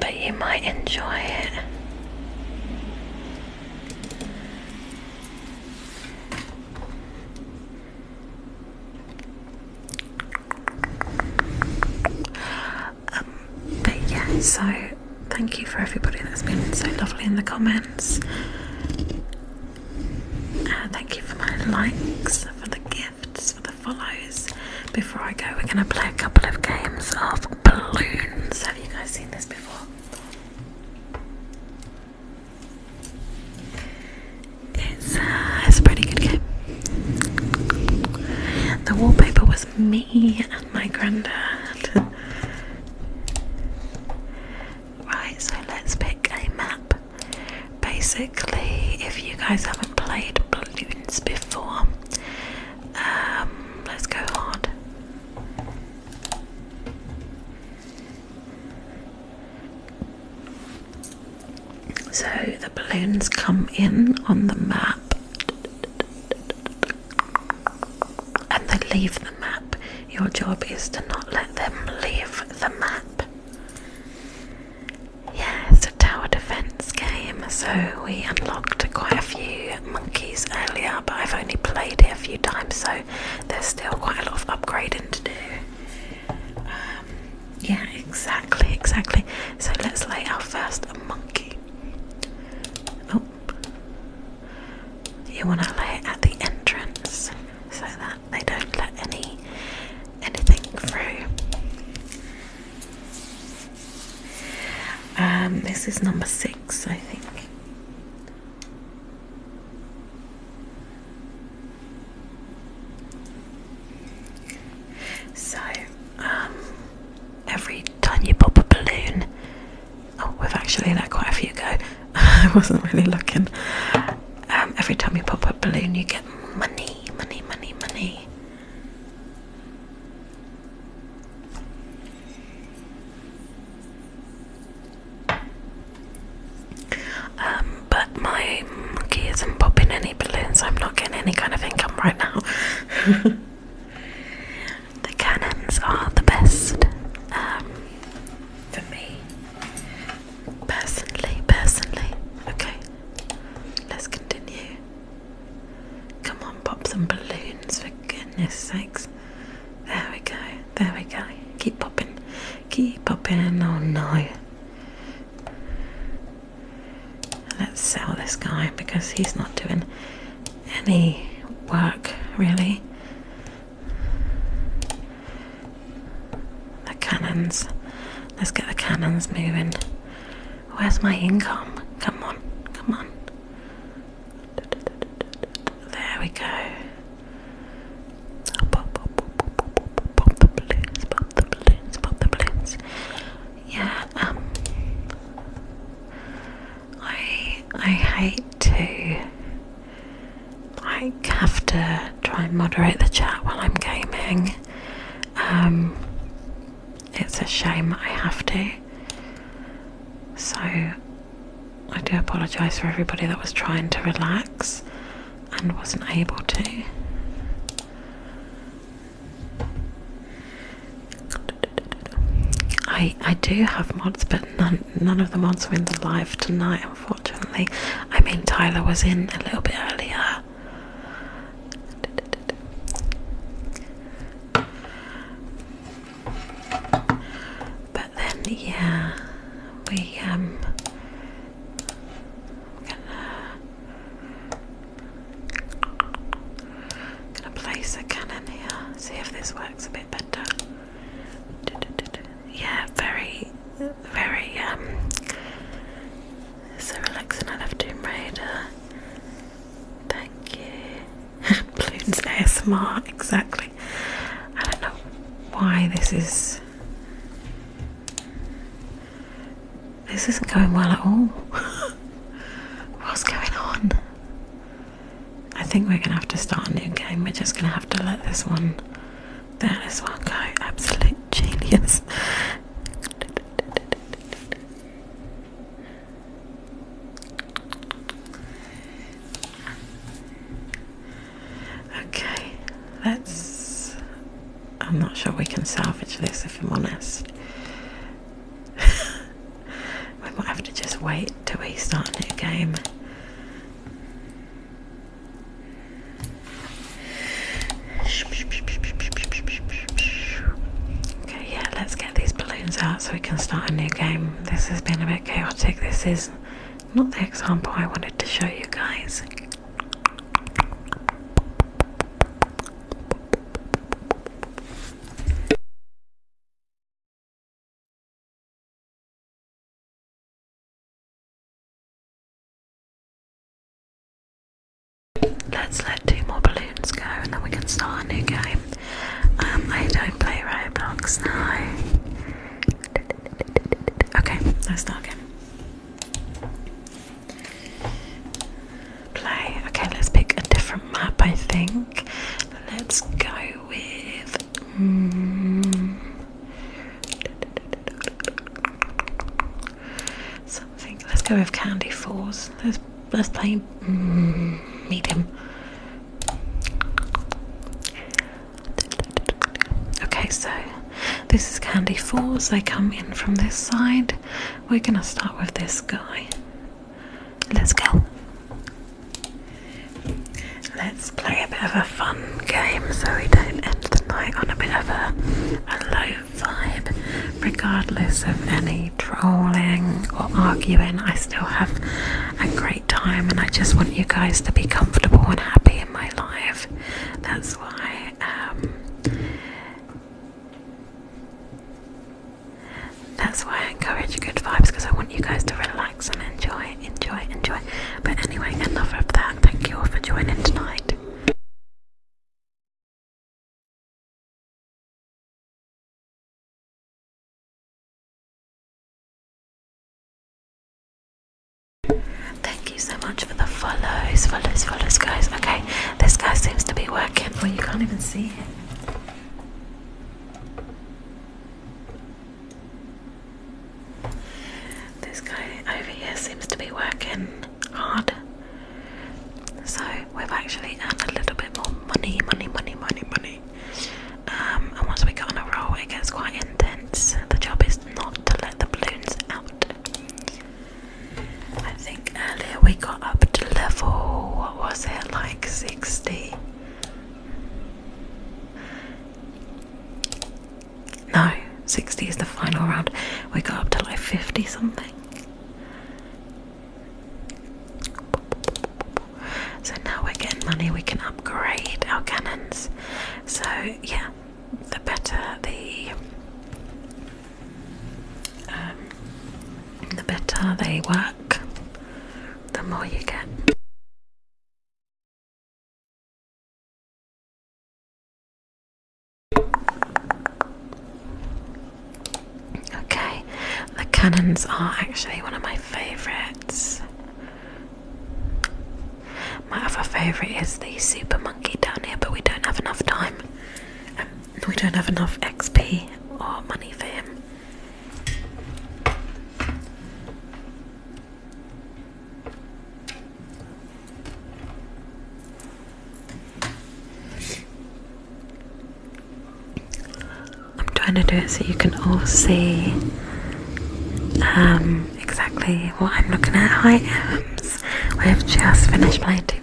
But you might enjoy it. Um, but yeah, so thank you for everybody that's been so lovely in the comments. Uh, thank you for my likes, for the gifts, follows. Before I go, we're gonna play a couple of games of balloons. Have you guys seen this before? It's, uh, it's a pretty good game. The wallpaper was me and my granddad. Right, so let's pick a map. Basically, if you guys haven't played balloons before, um, let's go hard. So the balloons come in on the map and they leave the map. Your job is to not let them leave the map. Yeah, it's a tower defense game, so we unlocked quite a few monkeys earlier, but I've only played it a few times, so there's still quite a lot of upgrading to do. Um, yeah, exactly, exactly. So let's lay our first monkey. Oh, you want to lay it at the entrance so that they don't let any anything through. Um, this is number six, I think. So, um, every time you pop a balloon, oh, we've actually let quite a few go. I wasn't really looking. Um, every time you pop a balloon, you get money, money, money, money. Um, but my monkey isn't popping any balloons, I'm not getting any kind of income right now. the cannons are the best um, for me, personally. Personally, okay, let's continue. Come on, pop some balloons, for goodness sakes. There we go, there we go. Keep popping, keep popping. Oh no. Let's sell this guy because he's not doing any work really. The cannons. Let's get the cannons moving. Where's my income? Come on, come on. There we go. Pop, the balloons, pop the balloons, pop the balloons. Yeah, um, I I hate to I have to try and moderate the chat while I'm gaming. Um, it's a shame I have to. So I do apologise for everybody that was trying to relax and wasn't able to. I I do have mods, but none none of the mods were in the live tonight, unfortunately. I mean, Tyler was in a little bit earlier. But then, yeah, we um, gonna gonna place a cannon here. See if this works a bit better. Yeah, very, very um, so relaxing. I love Tomb Raider. Thank you. Balloons ASMR, exactly. I don't know why this is. This isn't going well at all. What's going on? I think we're gonna have to start a new game. We're just gonna have to let this one, there, this one go. Absolute genius. Okay, let's. I'm not sure we can salvage this if I'm honest. we might have to just wait till we start a new game. Okay, yeah, let's get these balloons out so we can start a new game. This has been a bit chaotic. This is not the example I wanted to show you guys. Let's let two more balloons go and then we can start a new game. Um, I don't play Roblox now. Okay, let's start again. Play. Okay, let's pick a different map. I think. Let's go with. Hmm, something. Let's go with Candy Falls let's play mm, medium. Okay, so this is candy fours. They come in from this side. We're gonna start with this guy. Let's go. Let's play a bit of a fun game so we don't end the night on a bit of a low vibe regardless of any trolling or arguing, I still have a great time, and I just want you guys to be comfortable and happy in my life. That's why. Um, that's why I encourage good vibes because I want you guys to relax and enjoy, enjoy, enjoy. But anyway, enough of that. Thank you all for joining tonight. Thank you so much for the follows, follows, follows, guys. Okay, this guy seems to be working, Well, you can't even see him. This guy over here seems to be working hard. So we've actually earned a little bit more money, money, money, money, money. Um, and once we get on a roll, it gets quite intense. The job is not to let the balloons out. I think earlier we got up to level, what was it, like 60? No, 60 is the final round. We got up to like 50 something. So now we're getting money, we can upgrade our cannons. So, yeah, the better the. Um, the better they work, the more you get. Okay, the cannons are actually one of my favourites. My other favourite is the super monkey down here, but we don't have enough time. Um, we don't have enough XP or money for him. I'm trying to do it so you can all see um, exactly what I'm looking at. Hi, Ems. We've just finished playing Tomb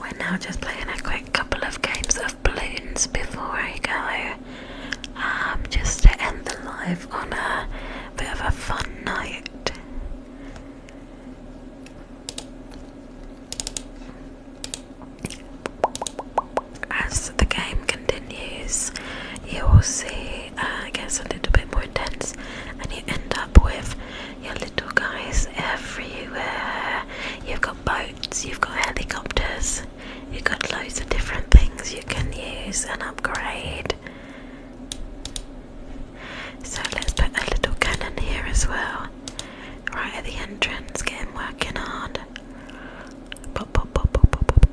We're now just playing a quick couple of games of balloons before I go, um, just to end the live on a bit of a fun night. As the game continues, you will see uh, it gets a little bit more intense, and you end up with your little guys everywhere. You've got boats, you've got helicopters, you've got loads of different things you can use and upgrade. So let's put a little cannon here as well. Right at the entrance, getting working hard. Oh,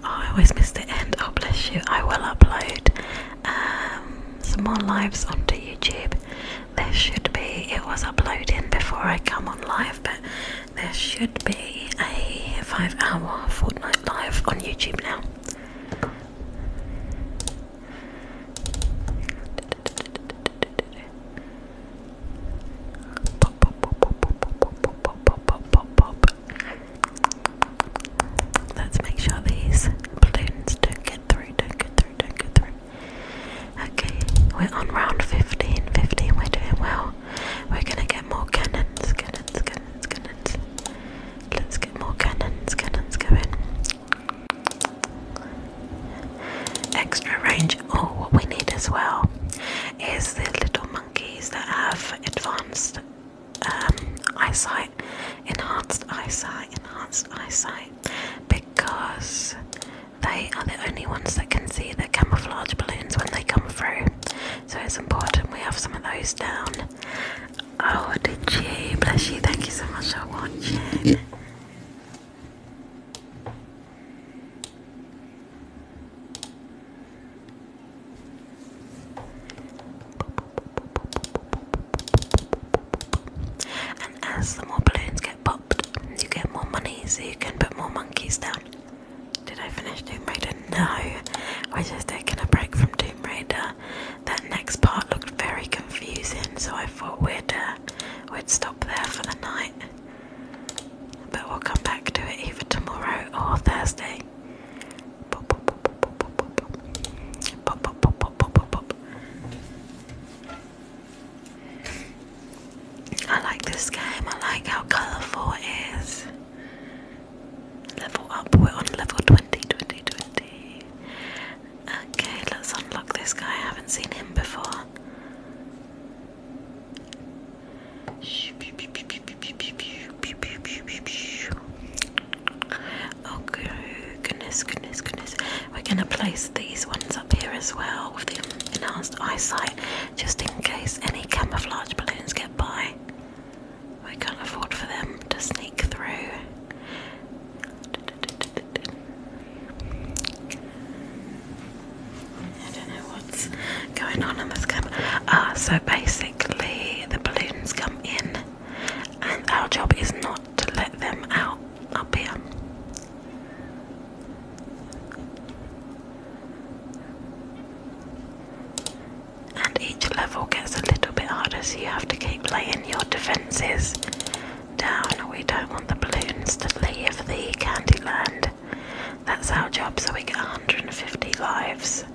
I always miss the end. Oh, bless you. I will upload um, some more lives onto YouTube. There should be, it was uploading before I come on live, but there should be a five hour fortnight live on YouTube now. Let's make sure these balloons don't get through, do get through, do get through. Okay, we're on round 15, 15, we're doing well. We're gonna get more cannons, cannons, cannons, cannons. Let's get more cannons, cannons going. Extra range. Oh, what we need as well is the little monkeys that have advanced um, eyesight, enhanced eyesight, enhanced eyesight, because they are the only ones that can see the camouflage balloons when they come through. So it's important we have some of those down. Oh, did you? Bless you. Thank you so much for watching. And as the more balloons get popped, you get more money so you can put more monkeys down. Did I finish Doom Raider? No. We're just taking a break from Doom Raider. That next part looked very confusing, so I thought we are uh, done we'd stop there for the night. But we'll come back to it either tomorrow or Thursday. Pop, pop, pop, pop, pop, pop, pop. Pop, pop, pop, pop, pop, pop, I like this game, I like how colourful it is. Level up, we're on level 20, Okay, let's unlock this guy. I haven't seen him before. Oh goodness, goodness, goodness. We're gonna place these ones up here as well with the enhanced eyesight, just in case any camouflage balloons get by. We can't afford for them to sneak through. I don't know what's going on on this camera. Ah, so basically, the balloons come in, and our job is not to let them out up here. And each level gets a little bit harder, so you have to keep laying your defenses down. We don't want the balloons to leave the Candyland. That's our job, so we get 150 lives.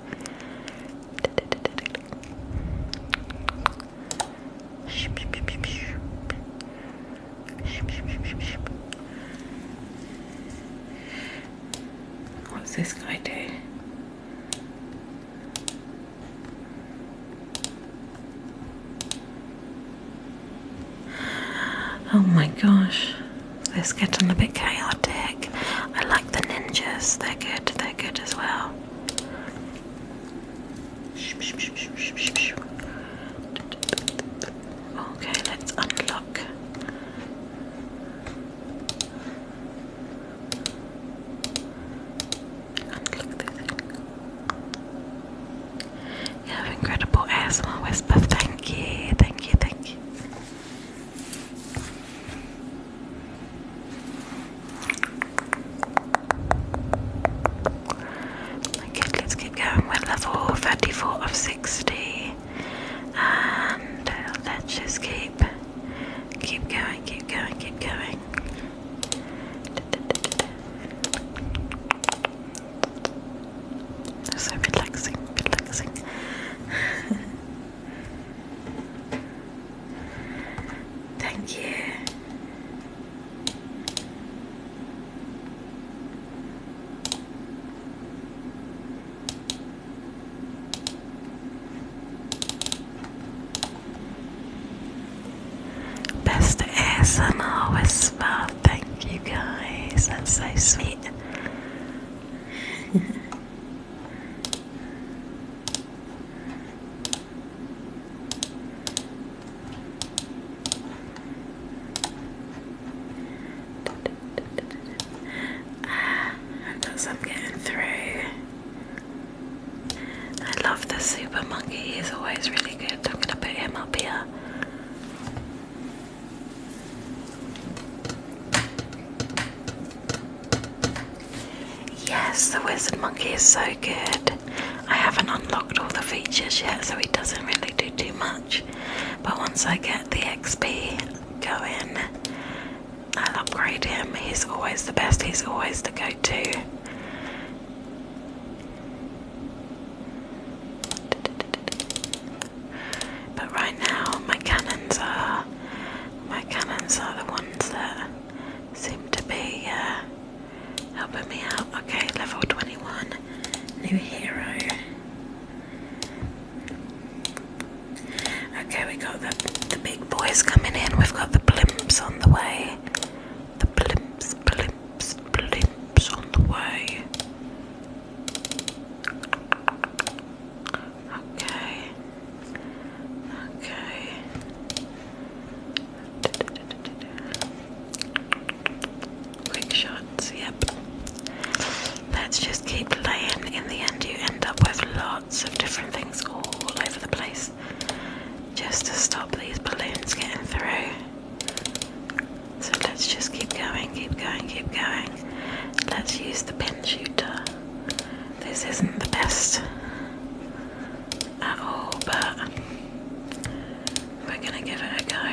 What's this guy do? Oh my gosh, this is getting a bit chaotic. I like the ninjas, they're good, they're good as well. Okay, let's unlock. Unlock this. You have incredible asthma whisper. Thank you, thank you, thank you. Okay, let's keep going. We're level 34 of 60. And uh, let's just keep keep going, keep going, keep going. So relaxing, relaxing. Thank you. Best ASMR well. Thank you guys. That's so sweet. Ah, that's I'm getting through. I love the super monkey, he's always really good. I'm gonna put him up here. Yes, the wizard monkey is so good. I haven't unlocked all the features yet, so he doesn't really do too much. But once I get the XP going, I'll upgrade him. He's always the best, he's always the go to. But right now, my cannons are my cannons are the ones that seem to be uh, helping me out. Okay, level twenty-one, new hero. Okay, we got the the big boys coming in. We've got the blimps on the way. The blimps, blimps blips, on the way. Okay. Okay. Quick shots, yep. Let's just keep playing. In the end, you end up with lots of different things all over the place just to stop these balloons getting through. So let's just keep going, keep going, keep going. Let's use the pin shooter. This isn't the best at all, but we're gonna give it a go.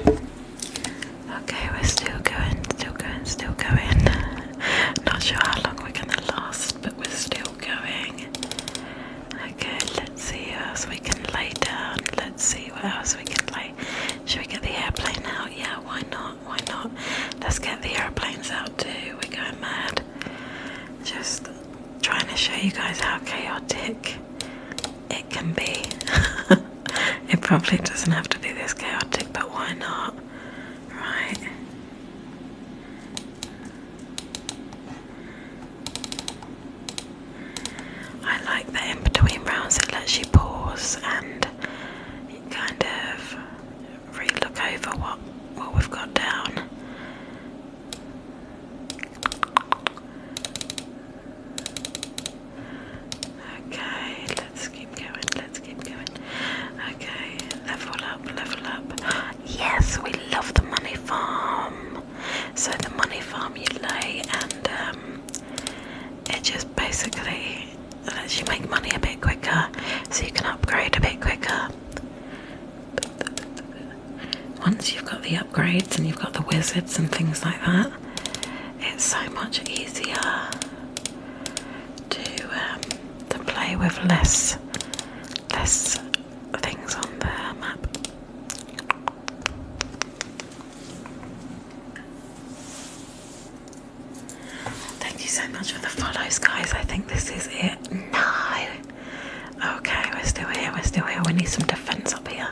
Okay, we're still going, still going, still going. Not sure how long we're gonna last, but we're still going. Okay, let's see what else we can lay down. Let's see what else we can lay. Should we get the airplane out? Yeah, why not? Why not? Let's get the airplanes out too. We're going mad. Just trying to show you guys how chaotic it can be. it probably doesn't have to be this chaotic, but why not? Right. I like that in between rounds it lets you pause and kind of re over what, what we've got down. Okay, let's keep going, let's keep going. Okay, level up, level up. Yes, we love the money farm. So the money farm you lay and um, it just basically lets you make money a bit quicker so you can upgrade a bit quicker. Once you've got the upgrades and you've got the wizards and things like that, it's so much easier to um, to play with less less things on the map. Thank you so much for the follows, guys. I think this is it. No. Okay, we're still here. We're still here. We need some defense up here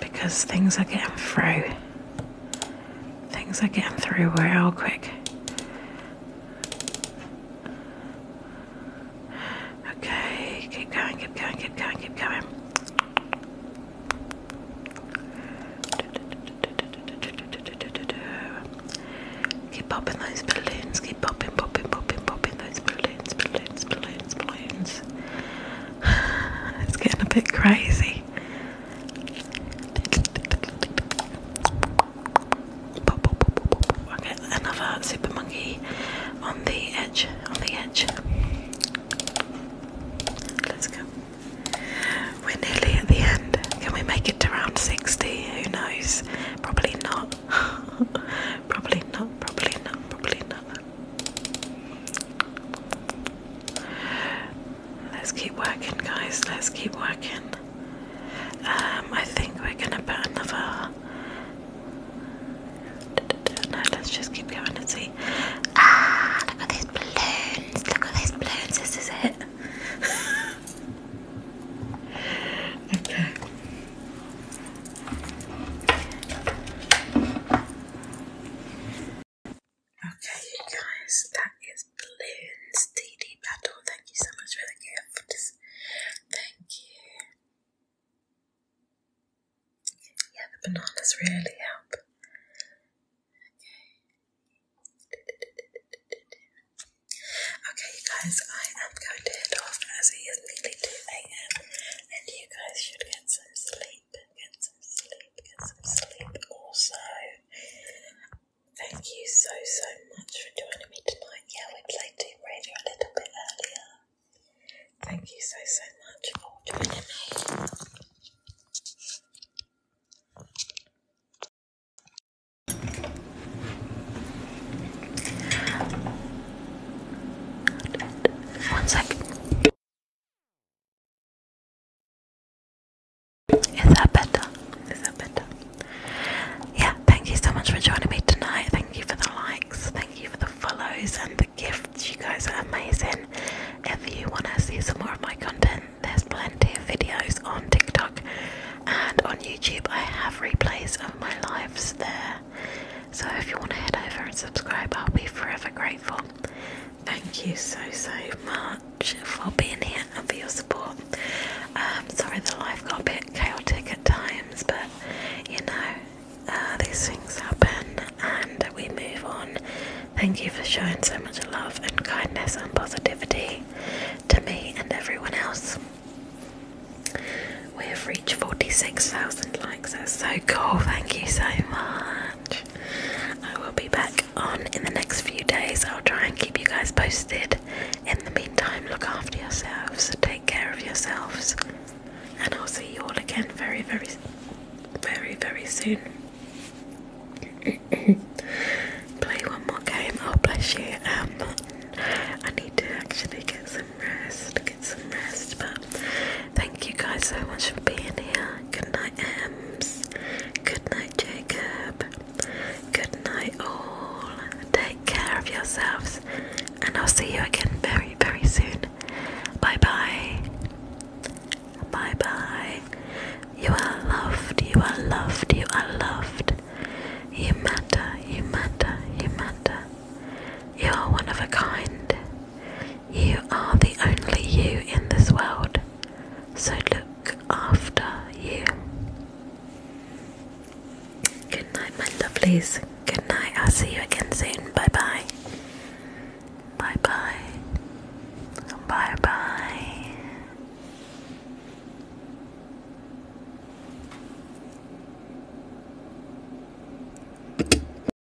because things are getting through. Things are getting through real quick. Okay, keep going, keep going, keep going, keep going. Keep popping those balloons, keep popping, popping, popping, popping those balloons, balloons, balloons, balloons. It's getting a bit crazy. Okay, another super monkey on the edge, on the edge. Let's go. We're nearly at the end. Can we make it to round 60? Who knows? Probably not. probably not, probably not, probably not. Let's keep working, guys. Let's keep working. Um, I think we're gonna burn another. No, let's just keep going and see. Ah, look at these balloons! Look at these balloons! This is it. okay. Okay, you guys, that is Balloons DD Battle. Thank you so much for the gift. Thank you. Yeah, the bananas really help. Okay. guys, I am going to head off as it is nearly 2 a.m. and you guys should get some sleep get some sleep, get some sleep. Also, thank you so, so much for joining me tonight. Yeah, we played Doom Radio a little bit earlier. Thank you so, so much for joining me. One second. Is that better? Is that better? Yeah, thank you so much for joining me tonight. Thank you for the likes, thank you for the follows and the gifts. You guys are amazing. If you want to see some more of my content, there's plenty of videos on TikTok and on YouTube. I have replays of my lives there. So if you want to head over and subscribe, I'll be forever grateful. Thank you so so much for being here and for your support. Um, sorry the life got a bit chaotic at times, but you know uh, these things happen and we move on. Thank you for showing so much love and kindness and positivity to me and everyone else. We have reached 46,000 likes, that's so cool, thank you so much. I will be back on in the next few days. I'll try and keep you guys posted. In the meantime, look after yourselves, take care of yourselves, and I'll see you all again very, very, very, very soon. play one more game. Oh, bless you. Um, I need to actually get some rest some rest. But thank you guys so much for being here. Good night, Ems. Good night, Jacob. Good night, all. Take care of yourselves, and I'll see you again very, very soon. Bye bye. Bye bye. You are loved, you are loved, you are loved. You matter, you matter, you matter. You are one of a kind. You are the only you in this world, so look after you. Good night, my lovelies. Good night. I'll see you again soon. Bye bye. Bye bye. Bye bye.